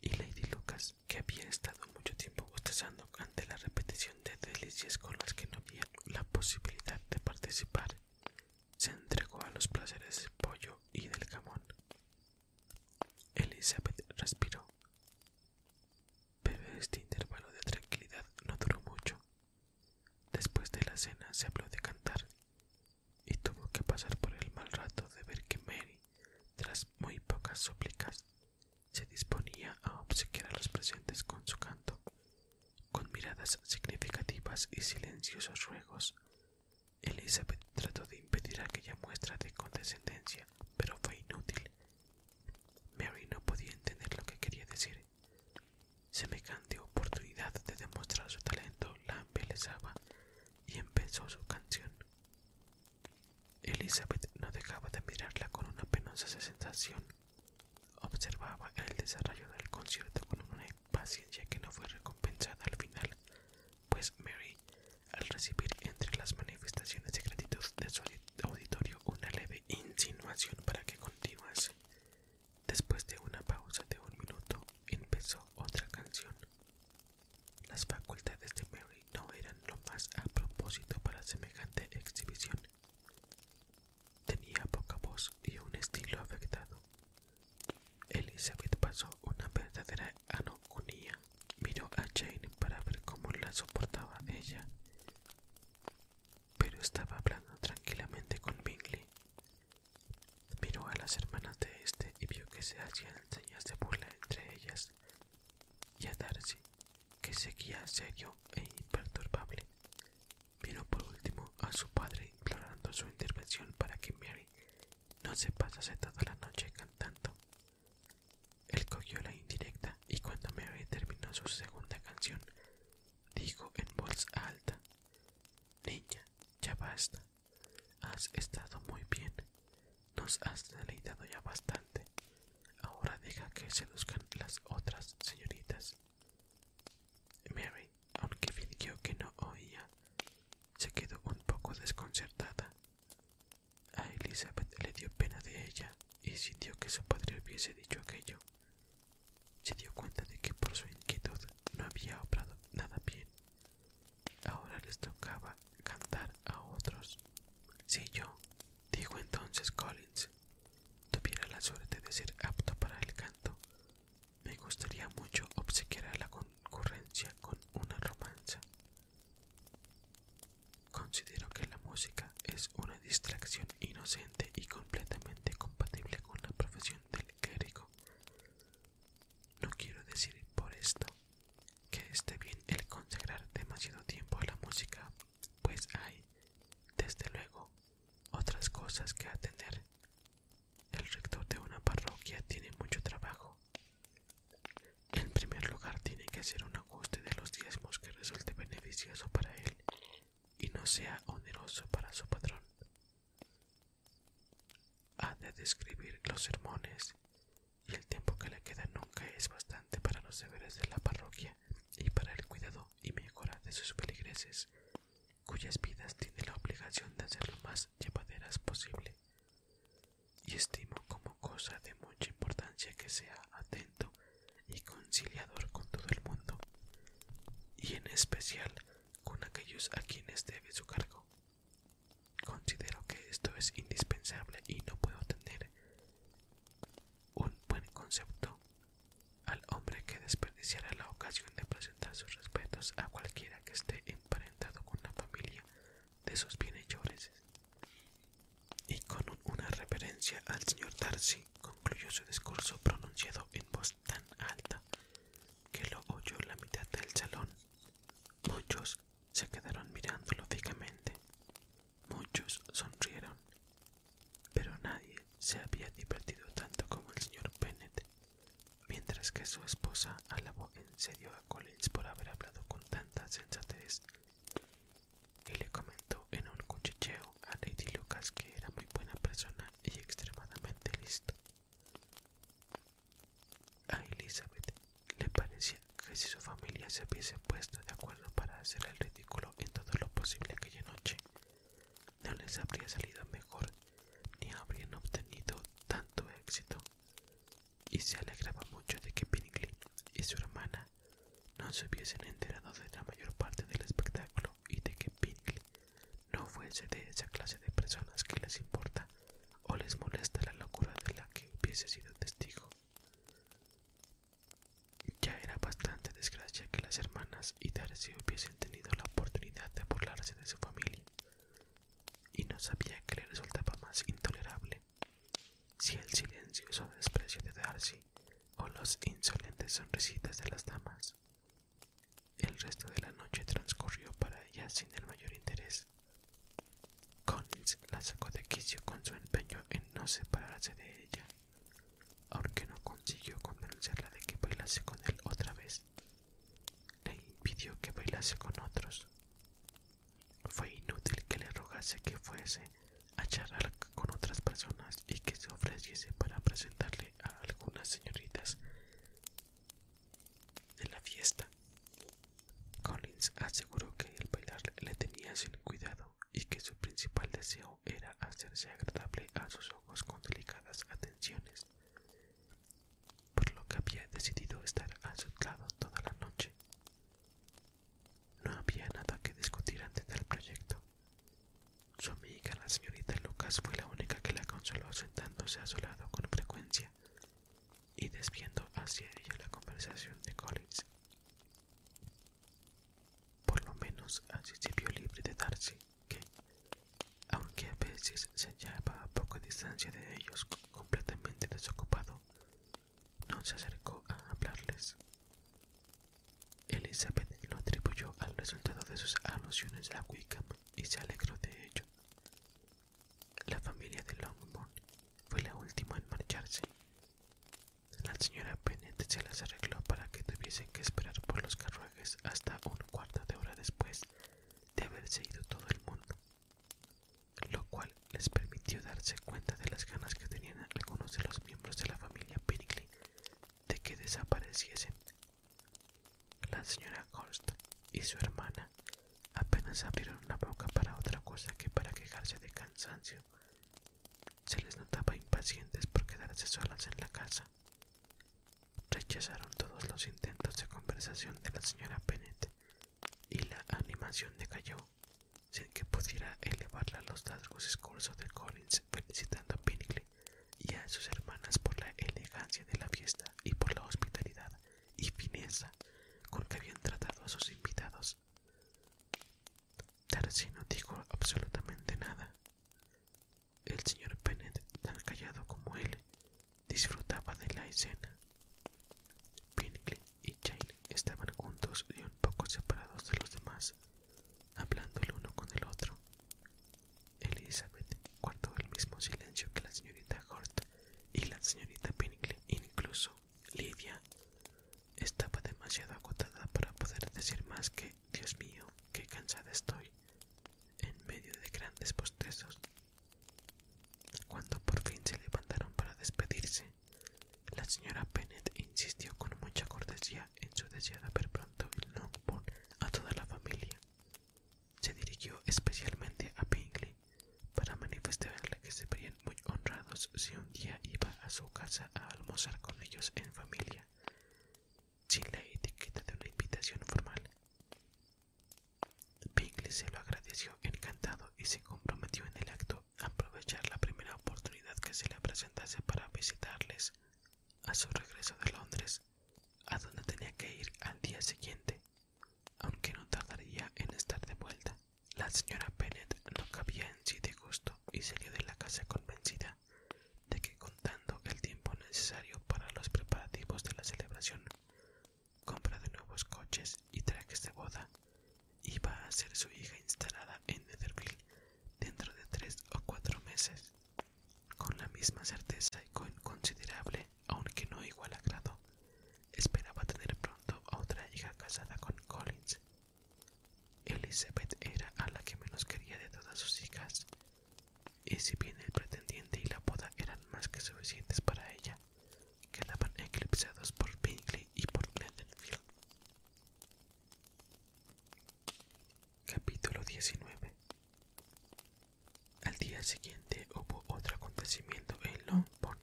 y Lady Lucas, que había estado mucho tiempo bostezando ante la repetición de delicias con las que no había la posibilidad de participar, se entregó a los placeres del pollo y del jamón. Elizabeth respiró. Pero este intervalo de tranquilidad no duró mucho. Después de la cena se habló de cantar y tuvo que pasar por el mal rato de ver que Mary, tras muy pocas súplicas, se disponía a obsequiar a los presentes con su canto, con miradas significativas y silenciosos ruegos, Elizabeth trató de impedir aquella muestra de condescendencia, pero fue inútil. Mary no podía entender lo que quería decir. Semejante oportunidad de demostrar su talento la embelezaba y empezó su canción. Elizabeth no dejaba de mirarla con una penosa sensación. Observaba el desarrollo del concierto con una paciencia que no fue recompensada al final, pues Mary, al recibir entre las manifestaciones de gratitud de su auditorio una leve insinuación para que continuase, después de una pausa de un minuto, empezó otra canción. Las facultades de Mary no eran lo más a propósito para semejante exhibición. Tenía poca voz y un estilo afectado. Elizabeth pasó una verdadera anoconía Miró a Jane para ver cómo la soportaba ella, pero estaba hablando tranquilamente con Bingley. Miró a las hermanas de este y vio que se hacían señas de burla entre ellas, y a Darcy, que seguía serio e imperturbable. Miró por último a su padre implorando su intervención para que Mary no se pasase toda la noche cantando él cogió la indirecta y cuando Mary terminó su segunda canción, dijo en voz alta, Niña, ya basta. Has estado muy bien. Nos has deleitado ya bastante. Ahora deja que seduzcan las otras señoritas. Mary, aunque fingió que no oía, se quedó un poco desconcertada. A Elizabeth le dio pena de ella y sintió que su padre hubiese dicho aquello. Se dio cuenta de que por su inquietud no había obrado nada bien. Ahora les tocaba cantar a otros. Si yo, dijo entonces Collins, tuviera la suerte de ser apto para el canto, me gustaría mucho obsequiar a la concurrencia con una romanza. Considero que la música es una distracción inocente y completamente compatible con la profesión del clérigo. No quiero decir por esto que esté bien el consagrar demasiado tiempo a la música, pues hay, desde luego, otras cosas que atender. El rector de una parroquia tiene mucho trabajo en primer lugar, tiene que hacer un ajuste de los diezmos que resulte beneficioso para él y no sea oneroso para su patrón. Ha de describir los sermones y el tiempo que le queda nunca es bastante para los deberes de la parroquia y para el cuidado y mejora de sus feligreses, cuyas vidas tiene la obligación de hacer lo más llevaderas posible y estimo como cosa de mucha importancia que sea atento y conciliador con todo el mundo, y en especial con aquellos a quienes debe su cargo. Considero que esto es indispensable y no puedo tener un buen concepto al hombre que desperdiciará la ocasión de presentar sus respetos a cualquiera que esté emparentado con la familia de sus bienhechores. Y con una reverencia al señor Darcy concluyó su discurso pronunciado en voz tan alta que lo oyó la mitad del salón. Muchos se quedaron mirándolo fijamente, muchos sonrieron, pero nadie se había divertido tanto como el señor Bennet, mientras que su esposa alabó se dio a Collins por haber hablado con tanta sensatez y le comentó en un cuchicheo a Lady Lucas que era muy buena persona y extremadamente listo A Elizabeth le parecía que si su familia se hubiese puesto de acuerdo para hacer el ridículo en todo lo posible aquella noche, no les habría salido mejor ni habrían obtenido tanto éxito y se alegraba mucho de que Pinkley y su hermana no se hubiesen enterado de la mayor parte del espectáculo y de que Pinkley no fuese de esa clase de personas que les importa o les molesta la locura de la que hubiese sido testigo. Ya era bastante desgracia que las hermanas y Darcy hubiesen tenido la oportunidad de burlarse de su familia, y no sabía que le resultaba más intolerable si el silencio silencioso desprecio de Darcy o los insolentes sonrisitas de las damas. El resto de la noche transcurrió para ella sin el mayor interés. Collins la sacó de quicio con su empeño en no separarse de ella, aunque no consiguió convencerla de que bailase con él otra vez. Le impidió que bailase con otros. Fue inútil que le rogase que fuese a charlar con otras personas y que se ofreciese para presentarle a algunas señoritas de la fiesta. Collins aseguró que el bailar le tenía sin cuidado y que su principal deseo era hacerse agradable a sus ojos con delicadas atenciones, por lo que había decidido estar a su lado toda la noche. No había nada que discutir antes del proyecto. Su amiga, la señorita Lucas, fue la única que la consoló sentándose a su lado con frecuencia y desviando hacia ella la conversación de Collins. Por lo menos así se vio libre de Darcy, que, aunque a veces se hallaba a poca distancia de ellos, completamente desocupado, no se acercó a hablarles. Elizabeth lo atribuyó al resultado de sus alusiones a Wickham y se alegró de ello. La familia de Longmont fue la última en marcharse. La señora Bennet se las arregló para que tuviesen que esperar por los carruajes hasta un cuarto de hora después de haberse ido todo el mundo lo cual les permitió darse cuenta de las ganas que tenían algunos de los miembros de la familia Pinkley de que desapareciesen. La señora Horst y su hermana apenas abrieron la boca para otra cosa que para quejarse de cansancio. Se les notaba impacientes por quedarse solas en la casa. Rechazaron todos los intentos de conversación de la señora Bennett y la animación decayó sin que pudiera elevarla los largos discursos de Collins felicitando a Pinkley y a sus hermanas por la elegancia de la fiesta y por la hospitalidad y fineza con que habían tratado a sus invitados. Darcy no dijo absolutamente nada. El señor Bennet, tan callado como él, disfrutaba de la escena. Pinkley y Jane estaban juntos y un poco separados de los demás, hablando el uno con el otro. Elizabeth guardó el mismo silencio que la señorita Hort y la señorita Pinkley, incluso Lidia estaba demasiado agotada para poder decir más que Dios mío, qué cansada estoy, en medio de grandes postresos cuando por fin se levantaron para despedirse, la señora Bennett insistió con mucha cortesía en su deseo de ver pronto el Longbourn a toda la familia. Se dirigió especialmente a Bingley para manifestarle que se verían muy honrados si un día iba a su casa a almorzar con ellos en familia, sin la etiqueta de una invitación formal se lo agradeció encantado y se comprometió en el acto a aprovechar la primera oportunidad que se le presentase para visitarles a su regreso de Londres, a donde tenía que ir al día siguiente, aunque no tardaría en estar de vuelta. La señora Bennet no cabía en sí de gusto y salió de la casa convencida de que contando el tiempo necesario para los preparativos de la celebración compra de nuevos coches y trajes de boda, iba a ser su hija instalada en Netherville dentro de tres o cuatro meses. Con la misma certeza y con considerable, aunque no igual agrado, esperaba tener pronto a otra hija casada con Collins. Elizabeth era a la que menos quería de todas sus hijas, y si bien el pretendiente y la boda eran más que suficientes para ella, quedaban eclipsados por Bingley y por Netherfield. Capítulo 19 Al día siguiente hubo otro acontecimiento en Longbourn.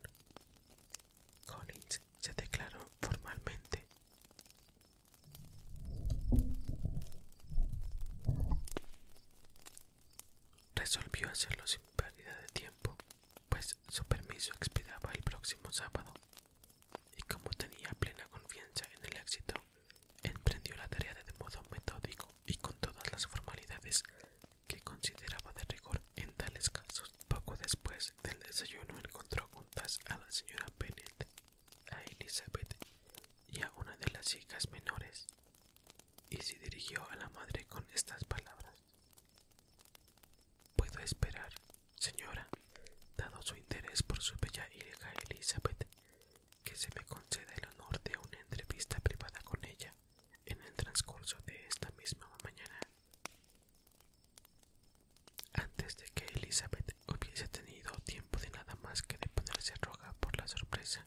Collins se declaró formalmente. Resolvió hacerlo sin pérdida de tiempo pues su permiso expiraba el próximo sábado, y como tenía plena confianza en el éxito, emprendió la tarea de modo metódico y con todas las formalidades que consideraba de rigor en tales casos. Poco después del desayuno encontró juntas a la señora Bennett, a Elizabeth y a una de las hijas menores, y se dirigió a la madre con estas palabras Puedo esperar, señora, dado su interés por su bella hija Elizabeth, que se me conceda el honor de una entrevista privada con ella en el transcurso de esta misma mañana. Antes de que Elizabeth hubiese tenido tiempo de nada más que de ponerse roja por la sorpresa,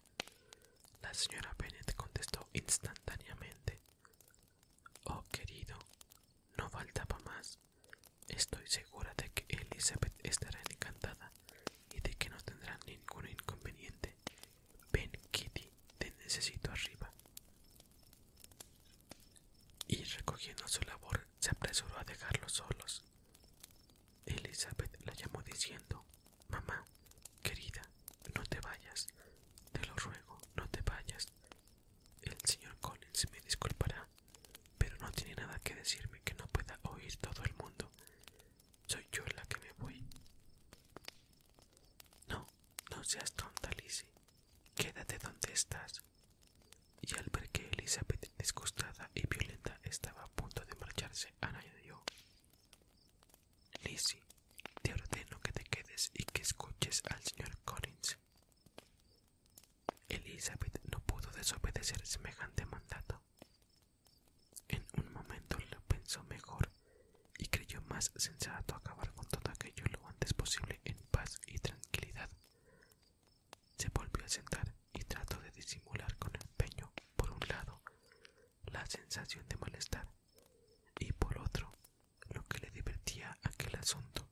la señora Bennett contestó instantáneamente Oh, querido, no faltaba más. Estoy segura de que Elizabeth estará encantada y de que no tendrá ningún inconveniente. Ven, Kitty, te necesito arriba. Y recogiendo su labor, se apresuró a dejarlos solos. Elizabeth la llamó diciendo, Mamá, querida, no te vayas, te lo ruego, no te vayas. Pues, el señor Collins me disculpará, pero no tiene nada que decirme que no pueda oír todo el mundo. Soy yo la que me voy. No, no seas tonta, Lizzie. Quédate donde estás. Y al ver que Elizabeth, disgustada y violenta, estaba a punto de marcharse, añadió: Lizzie, te ordeno que te quedes y que escuches al señor Collins. Elizabeth no pudo desobedecer semejante mandato. En un momento lo pensó mejor y creyó más sensato acabar con todo aquello lo antes posible en paz y tranquilidad. Se volvió a sentar y trató de disimular con empeño, por un lado, la sensación de malestar y por otro, lo que le divertía aquel asunto.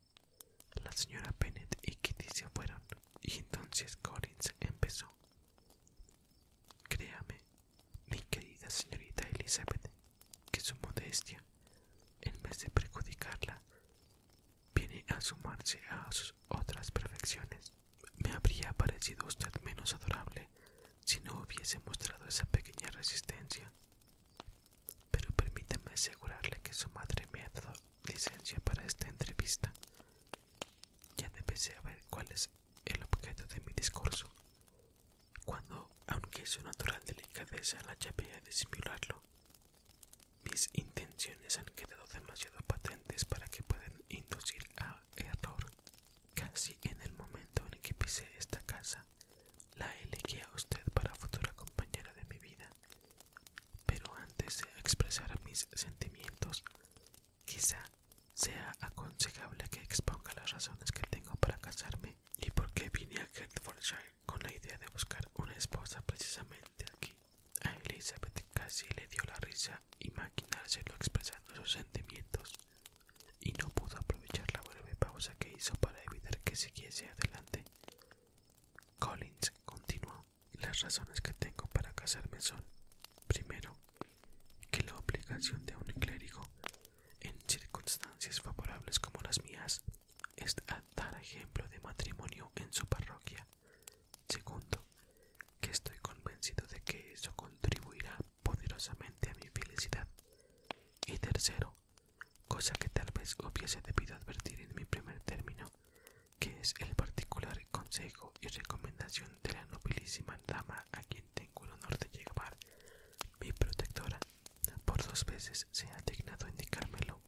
La señora Bennet y Kitty se fueron, y entonces Collins empezó. Créame, mi querida señorita Elizabeth, que su modestia, en vez de perjudicarla, viene a sumarse a sus otras perfecciones. Me habría parecido usted menos adorable si no hubiese mostrado esa pequeña resistencia. Pero permítame asegurarle que su madre me ha dado licencia para esta entrevista. Ya a ver cuál es el objeto de mi discurso. Cuando, aunque una natural delicadeza la llevé a disimularlo, mis intenciones han quedado demasiado patentes para que puedan inducir a error. Casi en el momento en que pisé esta casa, la elegí a usted para futura compañera de mi vida. Pero antes de expresar mis sentimientos, quizá sea aconsejable que exponga las razones que tengo para casarme y por qué vine a Hertfordshire con la idea de buscar una esposa precisamente aquí. A Elizabeth casi le dio la risa imaginárselo expresando sus sentimientos y no pudo aprovechar la breve pausa que hizo para evitar que siguiese adelante. Collins continuó, las razones que tengo para casarme son, primero, que la obligación de un clérigo, en circunstancias favorables como las mías, es dar ejemplo de matrimonio en su parroquia. Segundo, que estoy convencido de que eso contribuirá poderosamente a mi felicidad. Y tercero, cosa que tal vez hubiese debido advertir en mi primer término, que es el particular consejo y recomendación de la nobilísima dama a quien tengo el honor de llevar, mi protectora, por dos veces se ha dignado indicármelo,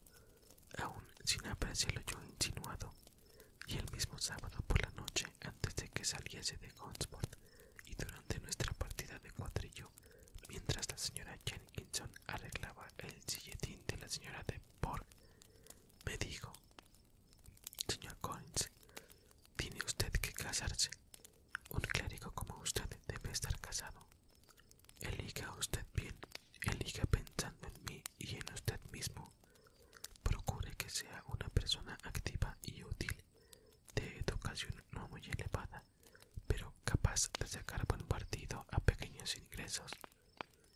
aún sin lo yo insinuado, y el mismo sábado por la noche antes de que saliese de Gonsport y durante nuestra partida de cuadrillo mientras la señora Jenkinson arreglaba el silletín de la señora de Borg. Me dijo, señor Collins, tiene usted que casarse. Un clérigo como usted debe estar casado. Eliga usted bien, eliga pensando en mí y en usted mismo. Procure que sea una persona activa y útil, de educación no muy elevada, pero capaz de sacar buen partido a pequeños ingresos.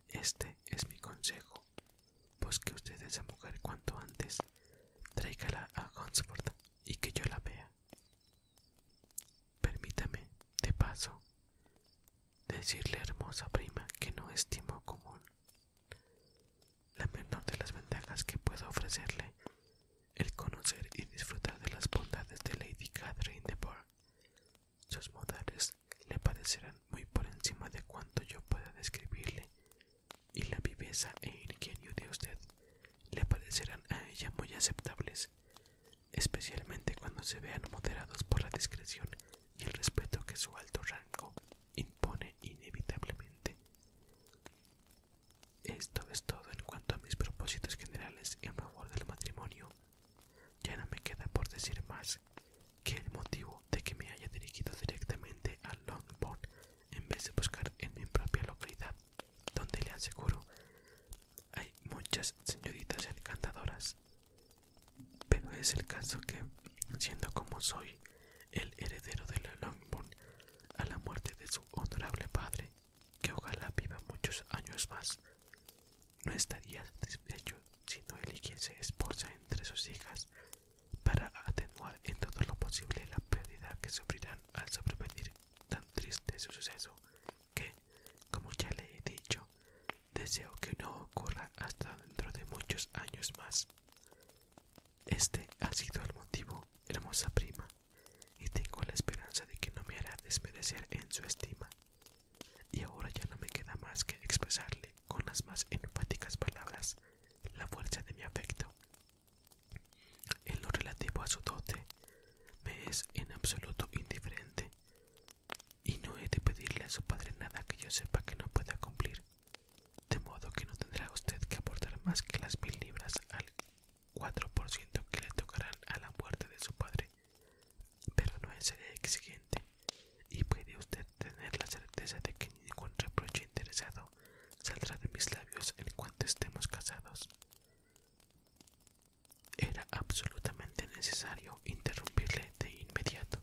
Este es mi consejo. Busque pues usted esa mujer cuanto antes, tráigala a Hunsford y que yo la vea. Permítame, de paso, decirle, hermosa prima, que no estimo común. La menor de las ventajas que puedo ofrecerle el conocer y disfrutar de las bondades de Lady Catherine de Bourgh. Sus modales le parecerán muy por encima de cuanto yo pueda describirle, y la viveza e ingenio de usted le parecerán a ella muy aceptables, especialmente cuando se vean moderados por la discreción y el respeto que su alto rango impone inevitablemente. Esto es todo en cuanto a mis propósitos generales en favor del matrimonio. Ya no me queda por decir más que el motivo de que me haya dirigido directamente a Longbourn en vez de buscar en mi propia localidad, donde le aseguro hay muchas señoritas encantadoras. Pero es el caso que, siendo como soy el heredero de Longbourn, a la muerte de su honorable padre, que ojalá viva muchos años más. No estaría satisfecho si no se esposa entre sus hijas para atenuar en todo lo posible la pérdida que sufrirán al sobrevenir tan triste suceso que, como ya le he dicho, deseo que no ocurra hasta dentro de muchos años más. Este ha sido el motivo, hermosa prima, y tengo la esperanza de que no me hará desmerecer en su estima. Y ahora ya no me queda más que expresarle con las más enfáticas palabras la fuerza de mi afecto. En lo relativo a su dote, me es en absoluto indiferente, y no he de pedirle a su padre nada que yo sepa que no pueda cumplir, de modo que no tendrá usted que aportar más que las mil libras al 4% que le tocarán a la muerte de su padre, pero no es exigente y puede usted tener la certeza de que ningún reproche interesado saldrá de mis labios en cuanto estemos casados. Era absolutamente necesario interrumpirle de inmediato.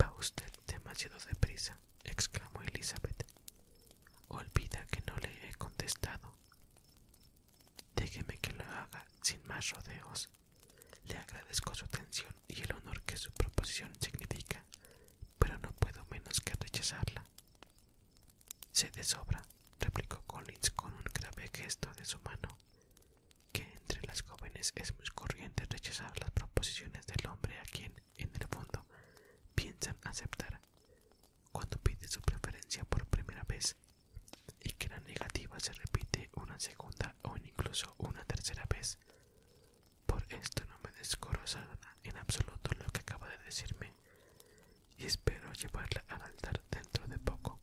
Va usted demasiado deprisa, exclamó Elizabeth. Olvida que no le he contestado Déjeme que lo haga sin más rodeos. Le agradezco su atención y el honor que su proposición significa, pero no puedo menos que rechazarla. Se desobra replicó Collins con un grave gesto de su mano, que entre las jóvenes es muy corriente rechazar las proposiciones del hombre a quien, en el fondo, piensan aceptar, cuando pide su preferencia por primera vez y que la negativa se repite una segunda o incluso una tercera vez. Por esto no me descorozará en absoluto lo que acaba de decirme y espero llevarla al altar dentro de poco.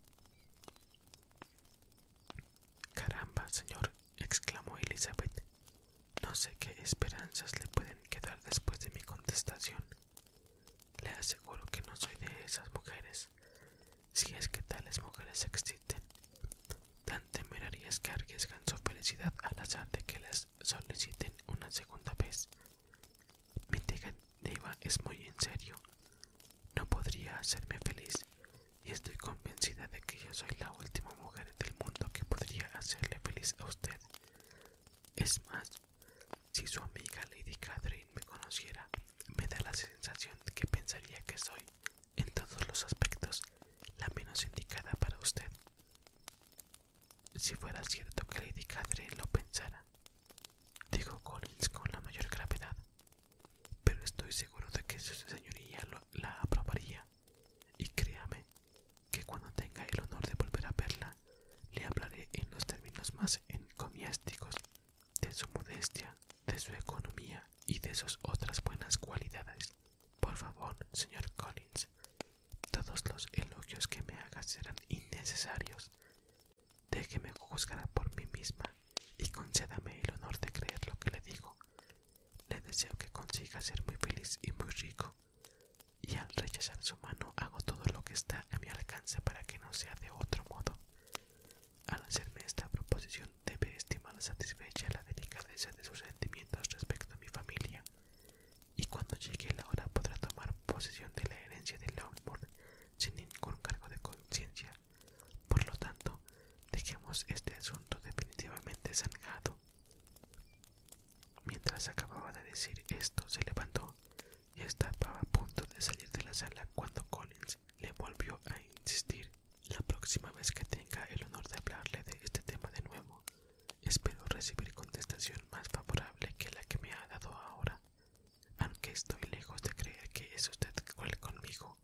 Caramba, señor, exclamó Elizabeth. No sé qué esperanzas le pueden quedar después de mi contestación. Le aseguro que no soy de esas mujeres. Si es que tales mujeres existen, tan temerarias que arriesgan su felicidad al azar de que las soliciten una segunda vez. Mi diga es muy en serio. No podría hacerme feliz, y estoy convencida de que yo soy la última mujer del mundo que podría hacerle feliz a usted. Es más, si su amiga Lady Catherine me conociera, me da la sensación de que pensaría que soy, en todos los aspectos, la menos indicada para usted. Si fuera cierto que Lady Catherine lo pensara, dijo Collins con la mayor gravedad, pero estoy seguro de que su señoría la aprobaría, y créame, que cuando tenga el honor de volver a verla, le hablaré en los términos más encomiásticos de su modestia, de su economía y de sus otras buenas cualidades. Por favor, señor Collins, todos los elogios que me hagas serán innecesarios. Déjeme juzgar por mí misma y concédame el honor de creer lo que le digo. Le deseo que consiga ser muy feliz y muy rico y al rechazar su mano hago todo lo que está a mi alcance para que no sea de otro modo. Al hacerme esta proposición debe estimar satisfecha la delicadeza de sus sentimientos respecto a mi familia y cuando llegue la hora podrá tomar posesión de la herencia de Longbourn sin ningún cargo de conciencia. Por lo tanto, dejemos este asunto definitivamente zanjado. Mientras acababa de decir esto, se levantó, estaba a punto de salir de la sala cuando Collins le volvió a insistir. La próxima vez que tenga el honor de hablarle de este tema de nuevo, espero recibir contestación más favorable que la que me ha dado ahora, aunque estoy lejos de creer que es usted cruel conmigo,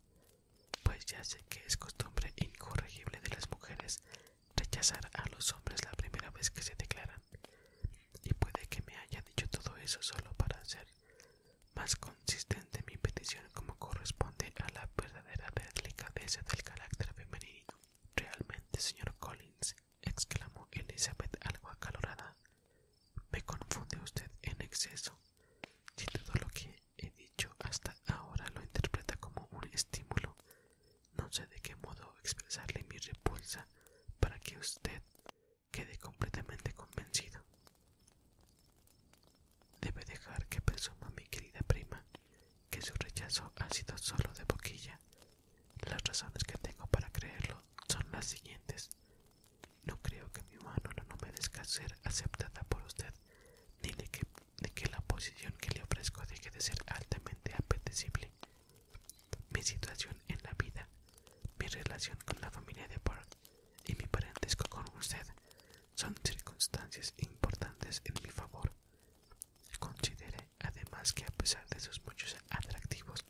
pues ya sé que es costumbre incorregible de las mujeres rechazar a los hombres la primera vez que se declaran. Y puede que me haya dicho todo eso solo para hacer más consistente mi petición como corresponde a la verdadera delicadeza del carácter femenino. Realmente, señor Collins, exclamó Elizabeth algo acalorada. Me confunde usted en exceso. Si todo lo que he dicho hasta ahora lo interpreta como un estímulo no sé de qué modo expresarle mi repulsa para que usted quede completamente convencido. Debe dejar que presuma mi querida prima que su rechazo ha sido solo de boquilla. Las razones que tengo para creerlo son las siguientes. No creo que mi mano no, me merezca ser aceptada por usted, ni de que la posición que le ofrezco deje de ser altamente apetecible mi situación en la vida, mi relación con la familia de Park y mi parentesco con usted son circunstancias importantes en mi favor. Considere además que a pesar de sus muchos atractivos,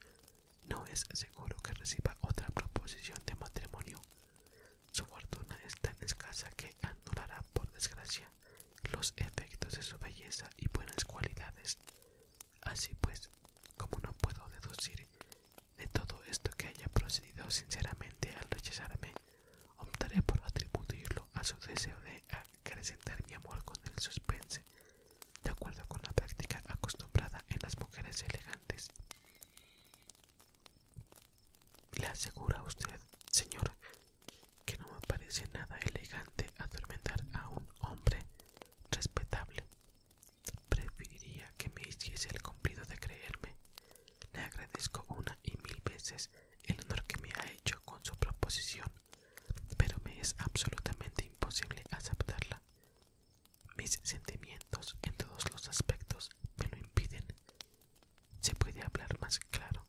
no es seguro que reciba otra proposición de matrimonio. Su fortuna es tan escasa que anulará, por desgracia, los efectos de su belleza y buenas cualidades. Así pues, como no puedo deducir de todo esto que haya procedido sinceramente al rechazarme, optaré por atribuirlo a su deseo de acrecentar mi amor con el suspense, de acuerdo con la práctica acostumbrada en las mujeres elegantes. Le aseguro a usted, señor, que no me parece nada elegante atormentar a un hombre respetable. Preferiría que me hiciese el cumplido de creerme. Le agradezco una y mil veces el honor que me ha hecho con su proposición, pero me es absolutamente imposible aceptarla. Mis sentimientos en todos los aspectos me lo impiden. Se puede hablar más claro.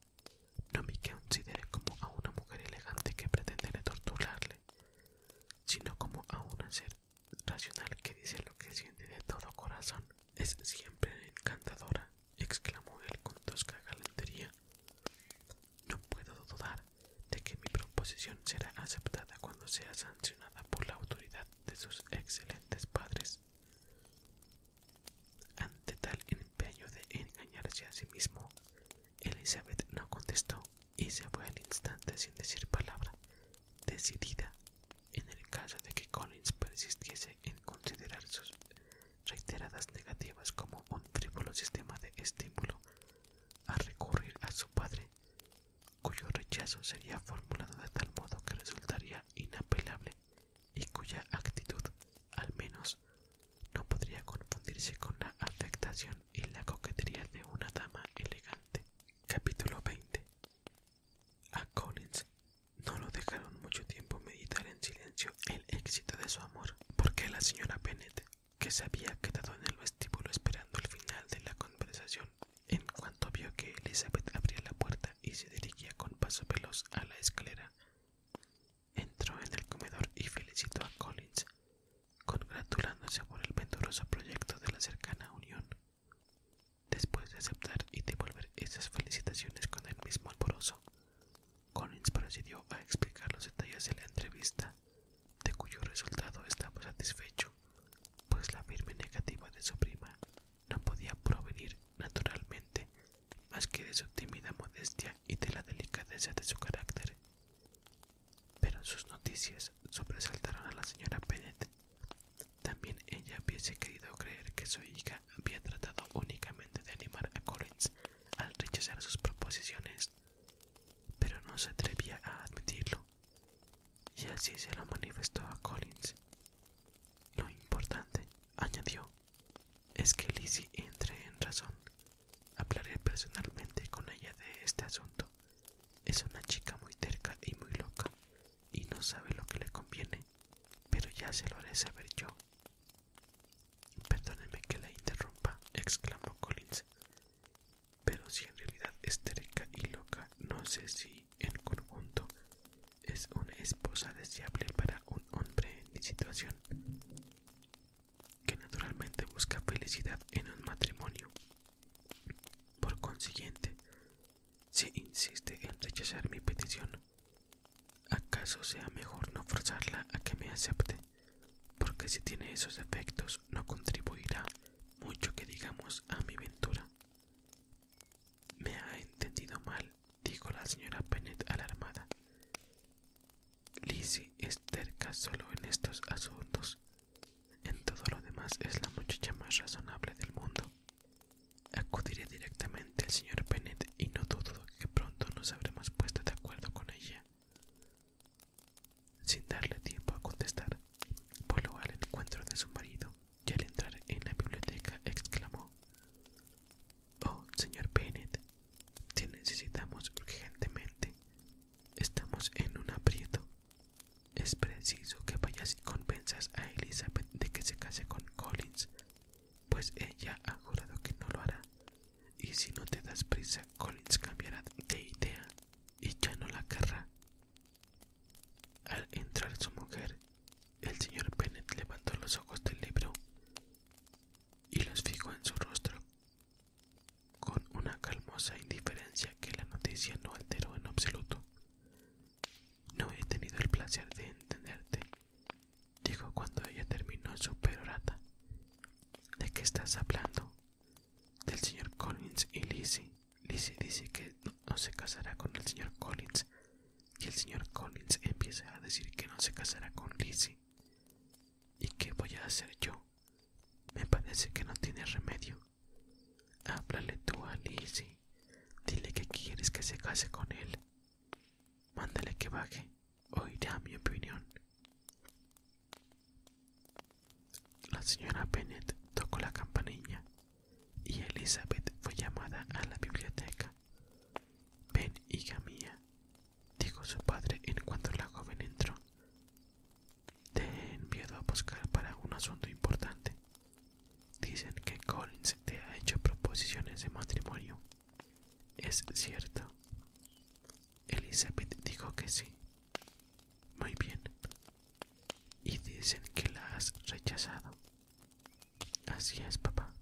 No me considere como a una mujer elegante que pretende torturarle, sino como a un ser racional que dice lo que siente de todo corazón. Es siempre encantadora, exclamó él con tosca galantería. No puedo dudar de que mi proposición será aceptada cuando sea sancionada por la autoridad de sus excelentes padres. Ante tal empeño de engañarse a sí mismo, Elizabeth no contestó, y se fue al instante sin decir palabra, decidida, en el caso de que Collins persistiese en considerar sus reiteradas negativas como un frívolo sistema de estímulo, a recurrir a su padre, cuyo rechazo sería formulado de tal modo que resultaría inapelable y cuya actitud, al menos, no podría confundirse con la afectación en la coquetería de una dama elegante. Capítulo 20. A Collins no lo dejaron mucho tiempo meditar en silencio el éxito de su amor, porque la señora Bennet, que se había quedado en el vestíbulo esperando el final de la conversación, en cuanto vio que Elizabeth abría la puerta y se dirigía con paso veloz a la escalera, entró en el comedor y felicitó a Collins, congratulándose por el venturoso proyecto de la cercana unión. Después de aceptar y devolver esas felicitaciones con el mismo alborozo, Collins procedió a explicar los detalles de la entrevista, de cuyo resultado estaba satisfecho, pues la firme negativa de su prima no podía provenir naturalmente más que de su tímida modestia y de la delicadeza de su carácter pero sus noticias sobresaltaron a la señora Bennett. También ella hubiese querido creer que su hija había tratado únicamente de animar a Collins al rechazar sus proposiciones, pero no se atrevía a admitirlo. Y así se lo manifestó a Collins. Lo importante, añadió, es que Lizzie entre en razón Hablaré personalmente con ella de este asunto. Es una chica muy terca y muy loca, y no sabe lo que le conviene, pero ya se lo haré saber yo. Perdóneme que la interrumpa, exclamó Collins. Pero si en realidad es terca y loca, no sé si en conjunto es una esposa deseable para un hombre en mi situación que naturalmente busca felicidad en un matrimonio. Por consiguiente, si insiste en rechazar mi petición, ¿acaso sea mejor no forzarla a que me acepte? Porque si tiene esos efectos no contribuirá mucho que digamos a mi ventura. Me ha entendido mal, dijo la señora pennet alarmada. Lizzie es terca solo en estos asuntos. En todo lo demás es la muchacha más razonable del mundo. Acudiré directamente al señor Bennett y no dudo que pronto nos habremos puesto de acuerdo con ella. Sin darle tiempo a contestar, voló al encuentro de su marido y al entrar en la biblioteca exclamó: Oh, señor Bennett, te necesitamos urgentemente. Estamos en un aprieto. Es preciso que vayas y convenzas a Elizabeth de que se case con Collins, pues ella ha jurado que no lo hará. Y si no te das prisa, Collins cambiará de idea y ya no la querrá. Al entrar su mujer, el señor Bennet levantó los ojos del libro y los fijó en su rostro con una calmosa indiferencia que la noticia no alteró en absoluto. No he tenido el placer de entenderte, dijo cuando ella terminó su perorata. ¿De qué estás hablando? Del señor Collins y Lizzie. Lizzie dice que no se casará con el señor Collins y el señor Collins empieza a decir que no se casará con Lizzie. ¿Y qué voy a hacer yo? Me parece que no tiene remedio. Háblale tú a Lizzie. Dile que quieres que se case con él. Mándale que baje. Oirá mi opinión. La señora Bennet tocó la campanilla y Elizabeth fue llamada a la biblioteca. Ven, hija mía, dijo su padre en cuanto la joven entró. Te he enviado a buscar para un asunto importante. Dicen que Collins te ha hecho proposiciones de matrimonio. ¿Es cierto? Elizabeth dijo que sí. Muy bien. Y dicen que la has rechazado. Así es, papá.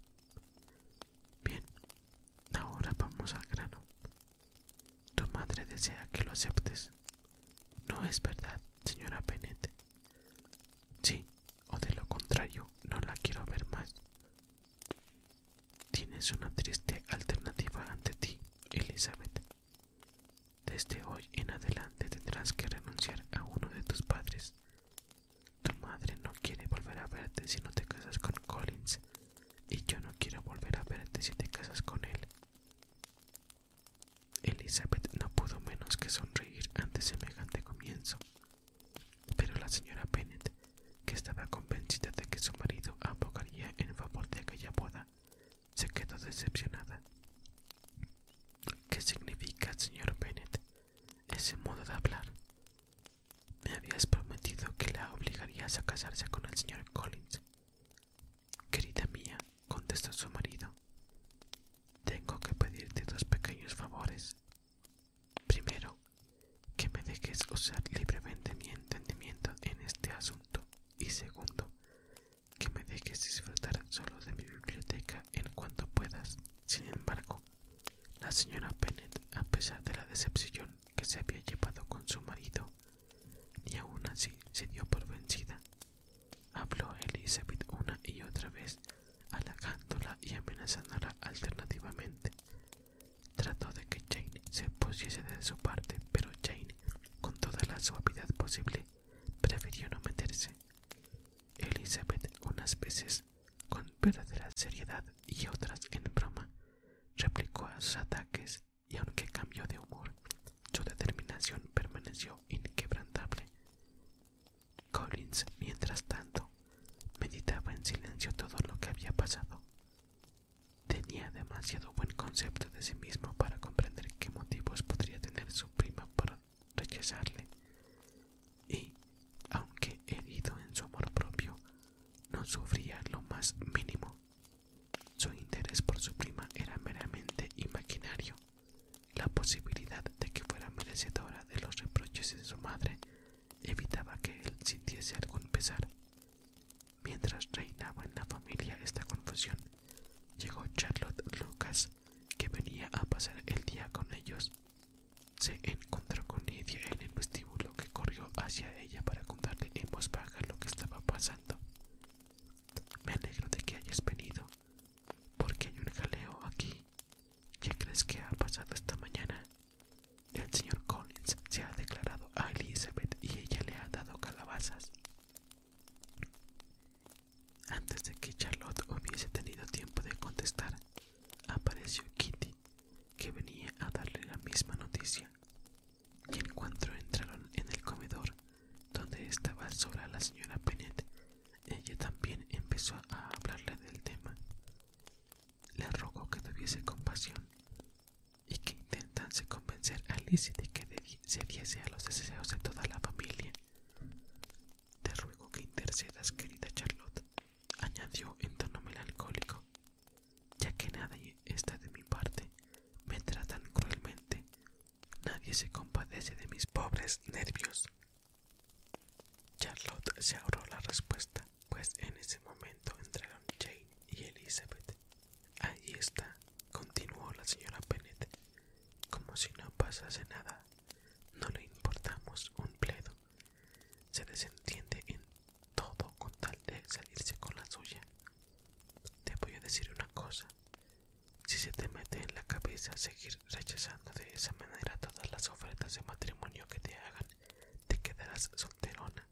Bien, ahora vamos al grano. Tu madre desea que lo aceptes. No es verdad, señora Bennett. Sí, o de lo contrario, no la quiero ver más. Tienes una triste alternativa ante ti, Elizabeth. Desde hoy en adelante tendrás que renunciar a uno de tus padres. Tu madre no quiere volver a verte si no te casas con Collins y yo no quiero volver a verte si te casas con él. Elizabeth no pudo menos que sonreír ante semejante comienzo, pero la señora Bennet, que estaba convencida de que su marido abogaría en favor de aquella boda, se quedó decepcionada. ¿Qué significa, señor Bennet, ese modo de hablar? Me habías prometido que la obligarías a casarse con el señor Collins. Querida mía, contestó su marido, tengo que pedirte dos pequeños favores. Primero, que me dejes usar libremente mi entendimiento en este asunto y segundo, que me dejes disfrutar solo de mi biblioteca en cuanto puedas. Sin embargo, la señora Bennet, a pesar de la decepción que se había llevado con su marido, ni aún así se dio por vencida. Habló Elizabeth una y otra vez, halagándola y amenazándola alternativamente. Trató de que Jane se pusiese de su parte, pero Jane, con toda la suavidad posible, prefirió no meterse. Elizabeth unas veces, con verdadera seriedad y otras en broma, replicó a sus ataques y aunque cambió de humor, su determinación permaneció inquebrantable. Collins, mientras tanto, meditaba en silencio todo lo que había pasado. Tenía demasiado buen concepto de sí mismo para comprender qué motivos podría tener su prima para rechazarle. Y, aunque herido en su amor propio, no sufría lo más mínimo su interés por su prima era meramente imaginario. La posibilidad de que fuera merecedora de los reproches de su madre evitaba que él sintiese algún pesar. Mientras reinaba en la familia esta confusión, llegó Charlotte Lucas, que venía a pasar el día con ellos. Se encontró con ella en el vestíbulo que corrió hacia ella para contarle en voz baja lo que estaba pasando. Me alegro de que hayas venido, porque hay un jaleo aquí. ¿Qué crees que ha pasado esta mañana? El señor Collins se ha declarado a Elizabeth y ella le ha dado calabazas. Antes de que Charlotte hubiese tenido tiempo de contestar, apareció Kitty, que venía a darle la misma noticia y en cuanto entraron en el comedor donde estaba sola la señora Bennet, ella también empezó a hablarle del tema. Le rogó que tuviese compasión y que intentase convencer a Lizzie de que se diese a los deseos de toda la familia. Te ruego que intercedas, querida Charlotte, añadió en tono melancólico ya que nadie está de mi parte, me tratan cruelmente, nadie se compadece de mis pobres nervios. Charlotte se ahorró la respuesta, pues en ese momento entraron Jane y Elizabeth. Ahí está, continuó la señora Bennet, como si no pasase nada. No le importamos un pledo. Se desentiende en todo con tal de salirse con la suya. Te voy a decir una cosa. Si se te mete en la cabeza seguir rechazando de esa manera todas las ofertas de matrimonio que te hagan, te quedarás solterona.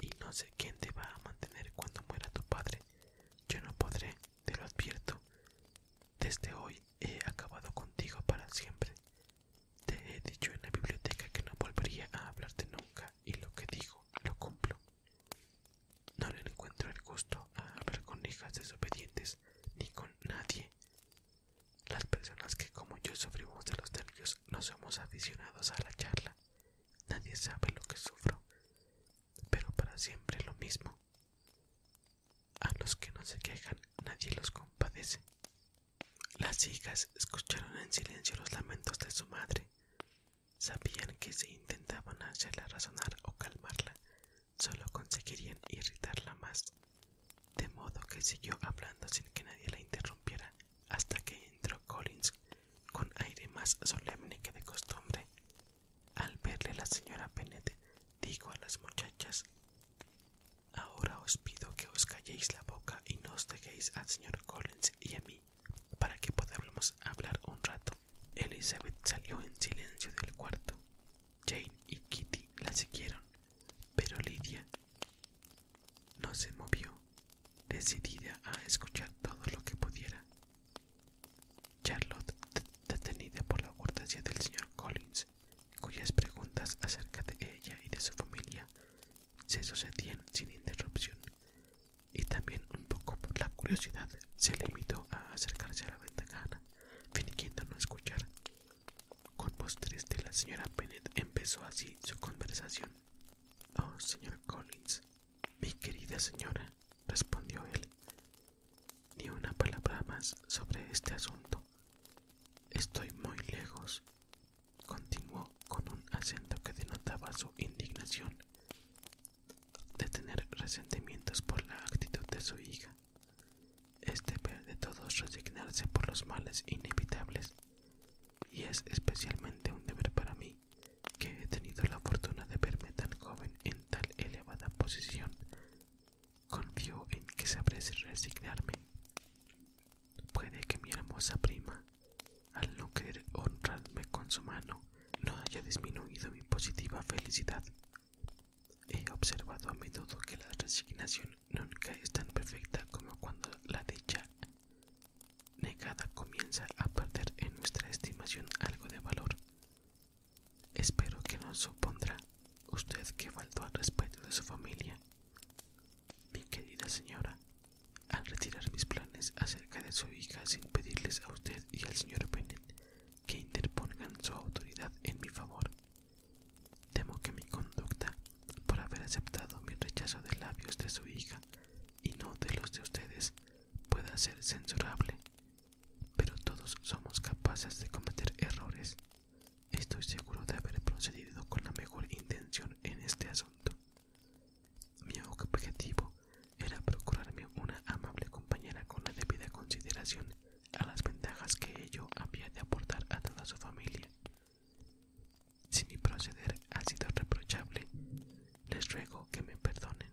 Y no sé quién te va a mantener cuando muera tu padre. Yo no podré, te lo advierto. Desde hoy he acabado contigo para siempre. Te he dicho en la biblioteca que no volvería a hablarte nunca y lo que digo lo cumplo. No le encuentro el gusto a hablar con hijas desobedientes ni con nadie. Las personas que como yo sufrimos de los nervios no somos aficionados a la charla. Nadie sabe lo que sufro, pero para siempre lo mismo. A los que no se quejan nadie los compadece. Las hijas escucharon en silencio los lamentos de su madre. Sabían que si intentaban hacerla razonar o calmarla, solo conseguirían irritarla más. De modo que siguió hablando sin que nadie la interrumpiera hasta que entró Collins con aire más solemne que de costumbre. Al verle la señora Bennett dijo a las muchachas Ahora os pido que os calléis la boca y no os dejéis al señor Collins y a mí para que podamos hablar un rato. Elizabeth salió en silencio del cuarto. Jane y Kitty la siguieron, pero Lydia no se movió, decidida a escuchar todo lo que pudiera. Charlotte, detenida por la cortesía del señor Collins, cuyas preguntas acerca de ella y de su familia se sucedían sin interrupción, y también un poco por la curiosidad se limitó a acercarse a la ventana, fingiendo no escuchar. Con voz triste la señora Bennett empezó así su conversación. Oh, señor Collins, mi querida señora, respondió él. Ni una palabra más sobre este asunto. Estoy muy lejos, continuó con un acento que denotaba su indignación de tener resentimientos por la actitud de su hija. Es este deber de todos resignarse por los males inevitables, y es especialmente un deber para mí, que he tenido la fortuna de verme tan joven en tal elevada posición. Confío en que sabré resignarme. Puede que mi hermosa prima al no querer honrarme con su mano, no haya disminuido mi positiva felicidad. He observado a menudo que la resignación nunca es tan perfecta como cuando la dicha negada comienza a perder en nuestra estimación algo de valor. Espero que no supondrá usted que faltó al respeto de su familia. Mi querida señora, al retirar mis planes acerca de su hija sin pedirles a usted y al señor Bennett que interpongan su autoridad en mi favor. Temo que mi conducta, por haber aceptado mi rechazo de labios de su hija y no de los de ustedes, pueda ser censurable. Pero todos somos capaces de cometer errores. Estoy seguro de haber procedido con la mejor intención en este asunto. Mi objetivo era procurarme una amable compañera con la debida consideración a las ventajas que ello había de aportar a toda su familia. Si mi proceder ha sido reprochable, les ruego que me perdonen.